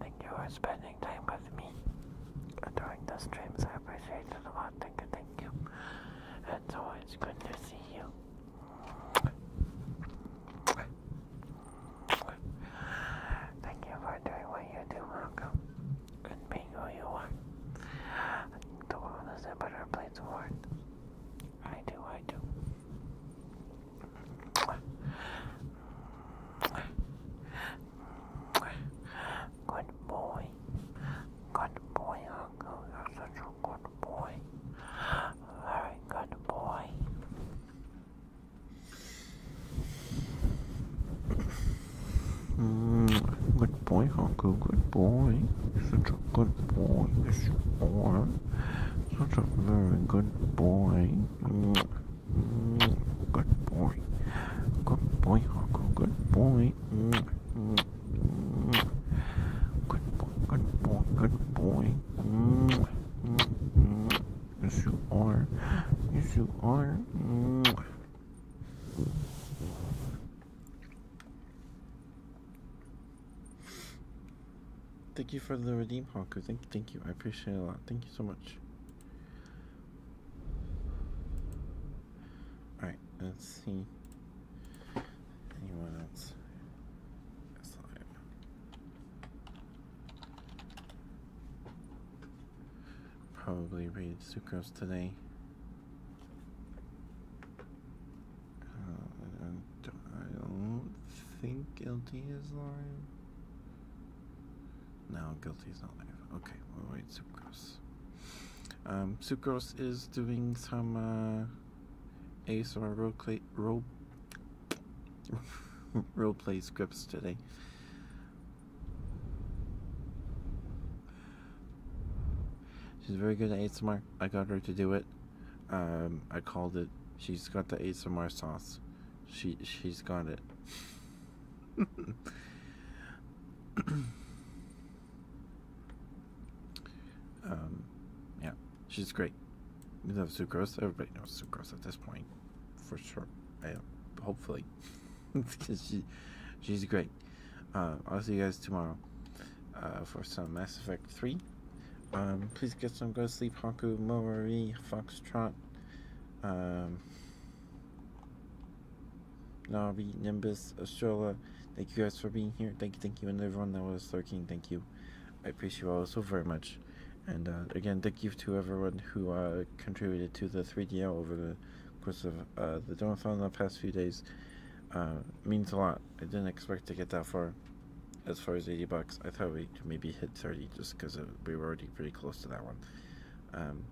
Thank you for spending time with me during the streams. I appreciate it a lot. Thank you, thank you. It's always good to see you. Thank you for doing what you do, Malcolm, and being who you are. The world is a better place for I do, I do. Good boy. Good boy, Uncle. You're such a good boy. Very good boy. Mm, good boy, Uncle. Good boy. you such a good boy. Yes, you are. Such a very good boy. Good boy. Good boy, Huckle. Good boy. Good boy, good boy, good boy. Yes, you are. Yes, you are. Thank you for the redeem, Haku. Thank, thank you. I appreciate it a lot. Thank you so much. All right. Let's see. Anyone else? Probably read Sucrose today. Uh, don't I don't think guilty is live. No, guilty is not live. Okay, we'll wait Sucrose. Um, Sucrose is doing some uh, ASMR role play, role, role play scripts today. She's very good at ace ASMR. I got her to do it. Um, I called it. She's got the ace ASMR sauce. She she's got it. um, yeah, she's great. You love sucrose. Everybody knows sucrose at this point, for sure. hopefully, because she she's great. Uh, I'll see you guys tomorrow uh, for some Mass Effect Three. Um, please get some go sleep, Haku, Momori, Foxtrot, um, Navi, Nimbus, Astrola. Thank you guys for being here. Thank you, thank you, and everyone that was lurking. Thank you. I appreciate you all so very much. And uh, again, thank you to everyone who uh, contributed to the 3DL over the course of uh, the donathon the past few days. Uh, means a lot. I didn't expect to get that far as far as 80 bucks, I thought we could maybe hit 30 just because we were already pretty close to that one. Um,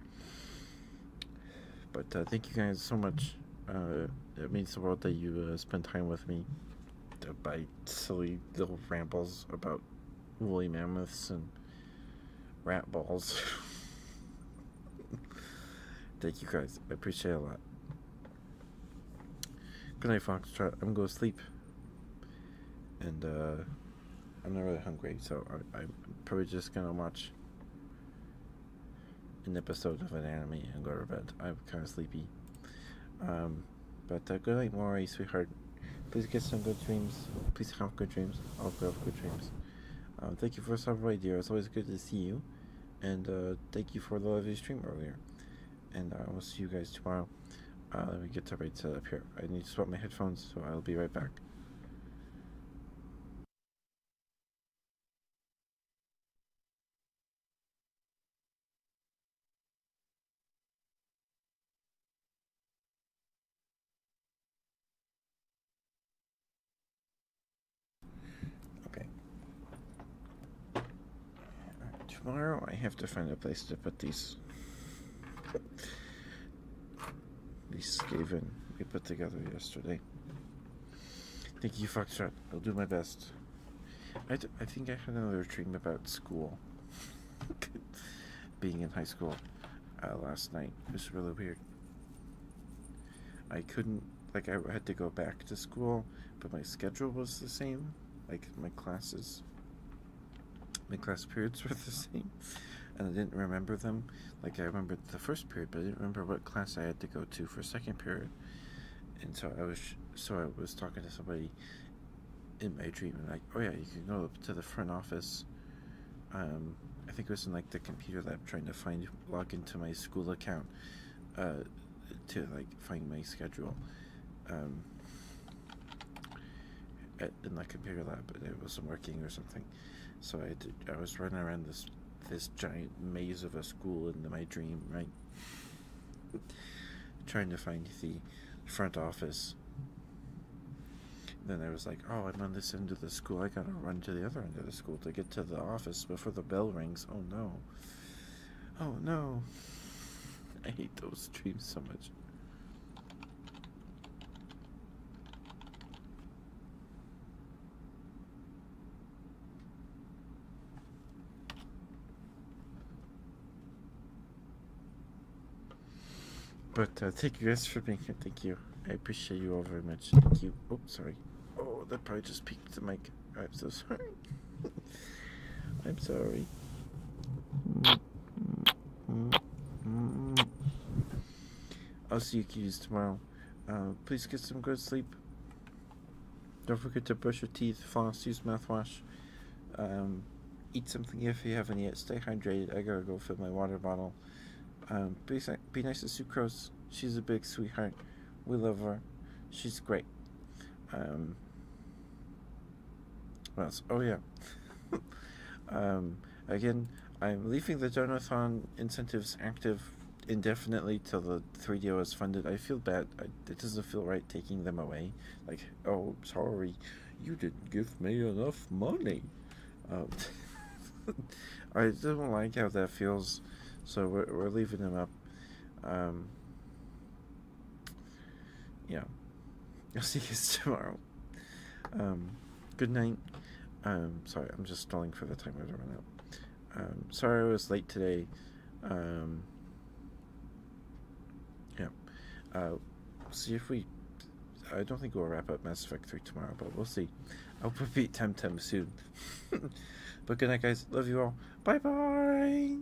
but uh, thank you guys so much. Uh, it means the world that you uh, spend time with me by silly little rambles about woolly mammoths and rat balls. thank you guys. I appreciate a lot. Good night, Foxtrot. I'm going to go sleep and uh, I'm not really hungry, so I, am probably just gonna watch an episode of an anime and go to bed. I'm kind of sleepy. Um, but uh, good night, Maury, sweetheart. Please get some good dreams. Please have good dreams. I'll have good dreams. Um, thank you for stopping by, dear. It's always good to see you. And uh, thank you for the lovely stream earlier and I uh, will see you guys tomorrow. Uh, let me get to right set up here. I need to swap my headphones, so I'll be right back. Tomorrow I have to find a place to put these these scaven we put together yesterday. Thank you, Foxtrot. I'll do my best. I, I think I had another dream about school. Being in high school uh, last night it was really weird. I couldn't, like, I had to go back to school, but my schedule was the same. Like my classes, my class periods were the same, and I didn't remember them. Like I remember the first period, but I didn't remember what class I had to go to for second period. And so I was, so I was talking to somebody in my treatment, like, oh yeah, you can go up to the front office. Um, I think it was in like the computer lab, trying to find log into my school account, uh, to like find my schedule. Um, in the computer lab, and it wasn't working or something. So I I was running around this this giant maze of a school in my dream, right? Trying to find the front office. Then I was like, oh, I'm on this end of the school. I gotta run to the other end of the school to get to the office before the bell rings. Oh no. Oh no. I hate those dreams so much. But uh, thank you guys for being here. Thank you. I appreciate you all very much. Thank you. Oh, sorry. Oh, that probably just peaked the mic. I'm so sorry. I'm sorry. Mm-hmm. I'll see you kids tomorrow. Uh, please get some good sleep. Don't forget to brush your teeth, floss, use mouthwash. Um, eat something if you haven't yet. Stay hydrated. I gotta go fill my water bottle. Um, be, nice to Sucrose. She's a big sweetheart. We love her. She's great. Um, what else? Oh, yeah. um, again, I'm leaving the Donathon incentives active indefinitely till the 3DO is funded. I feel bad. I, it doesn't feel right taking them away. Like, oh, sorry, you didn't give me enough money. Um, I don't like how that feels, so we're, we're leaving them up. Um, yeah, I'll see you guys tomorrow. Um, good night. Um, sorry, I'm just stalling for the time I run out. Um, sorry I was late today. Um, yeah. Uh, see if we. I don't think we'll wrap up Mass Effect 3 tomorrow, but we'll see. I'll beat time soon. but good night, guys. Love you all. Bye bye.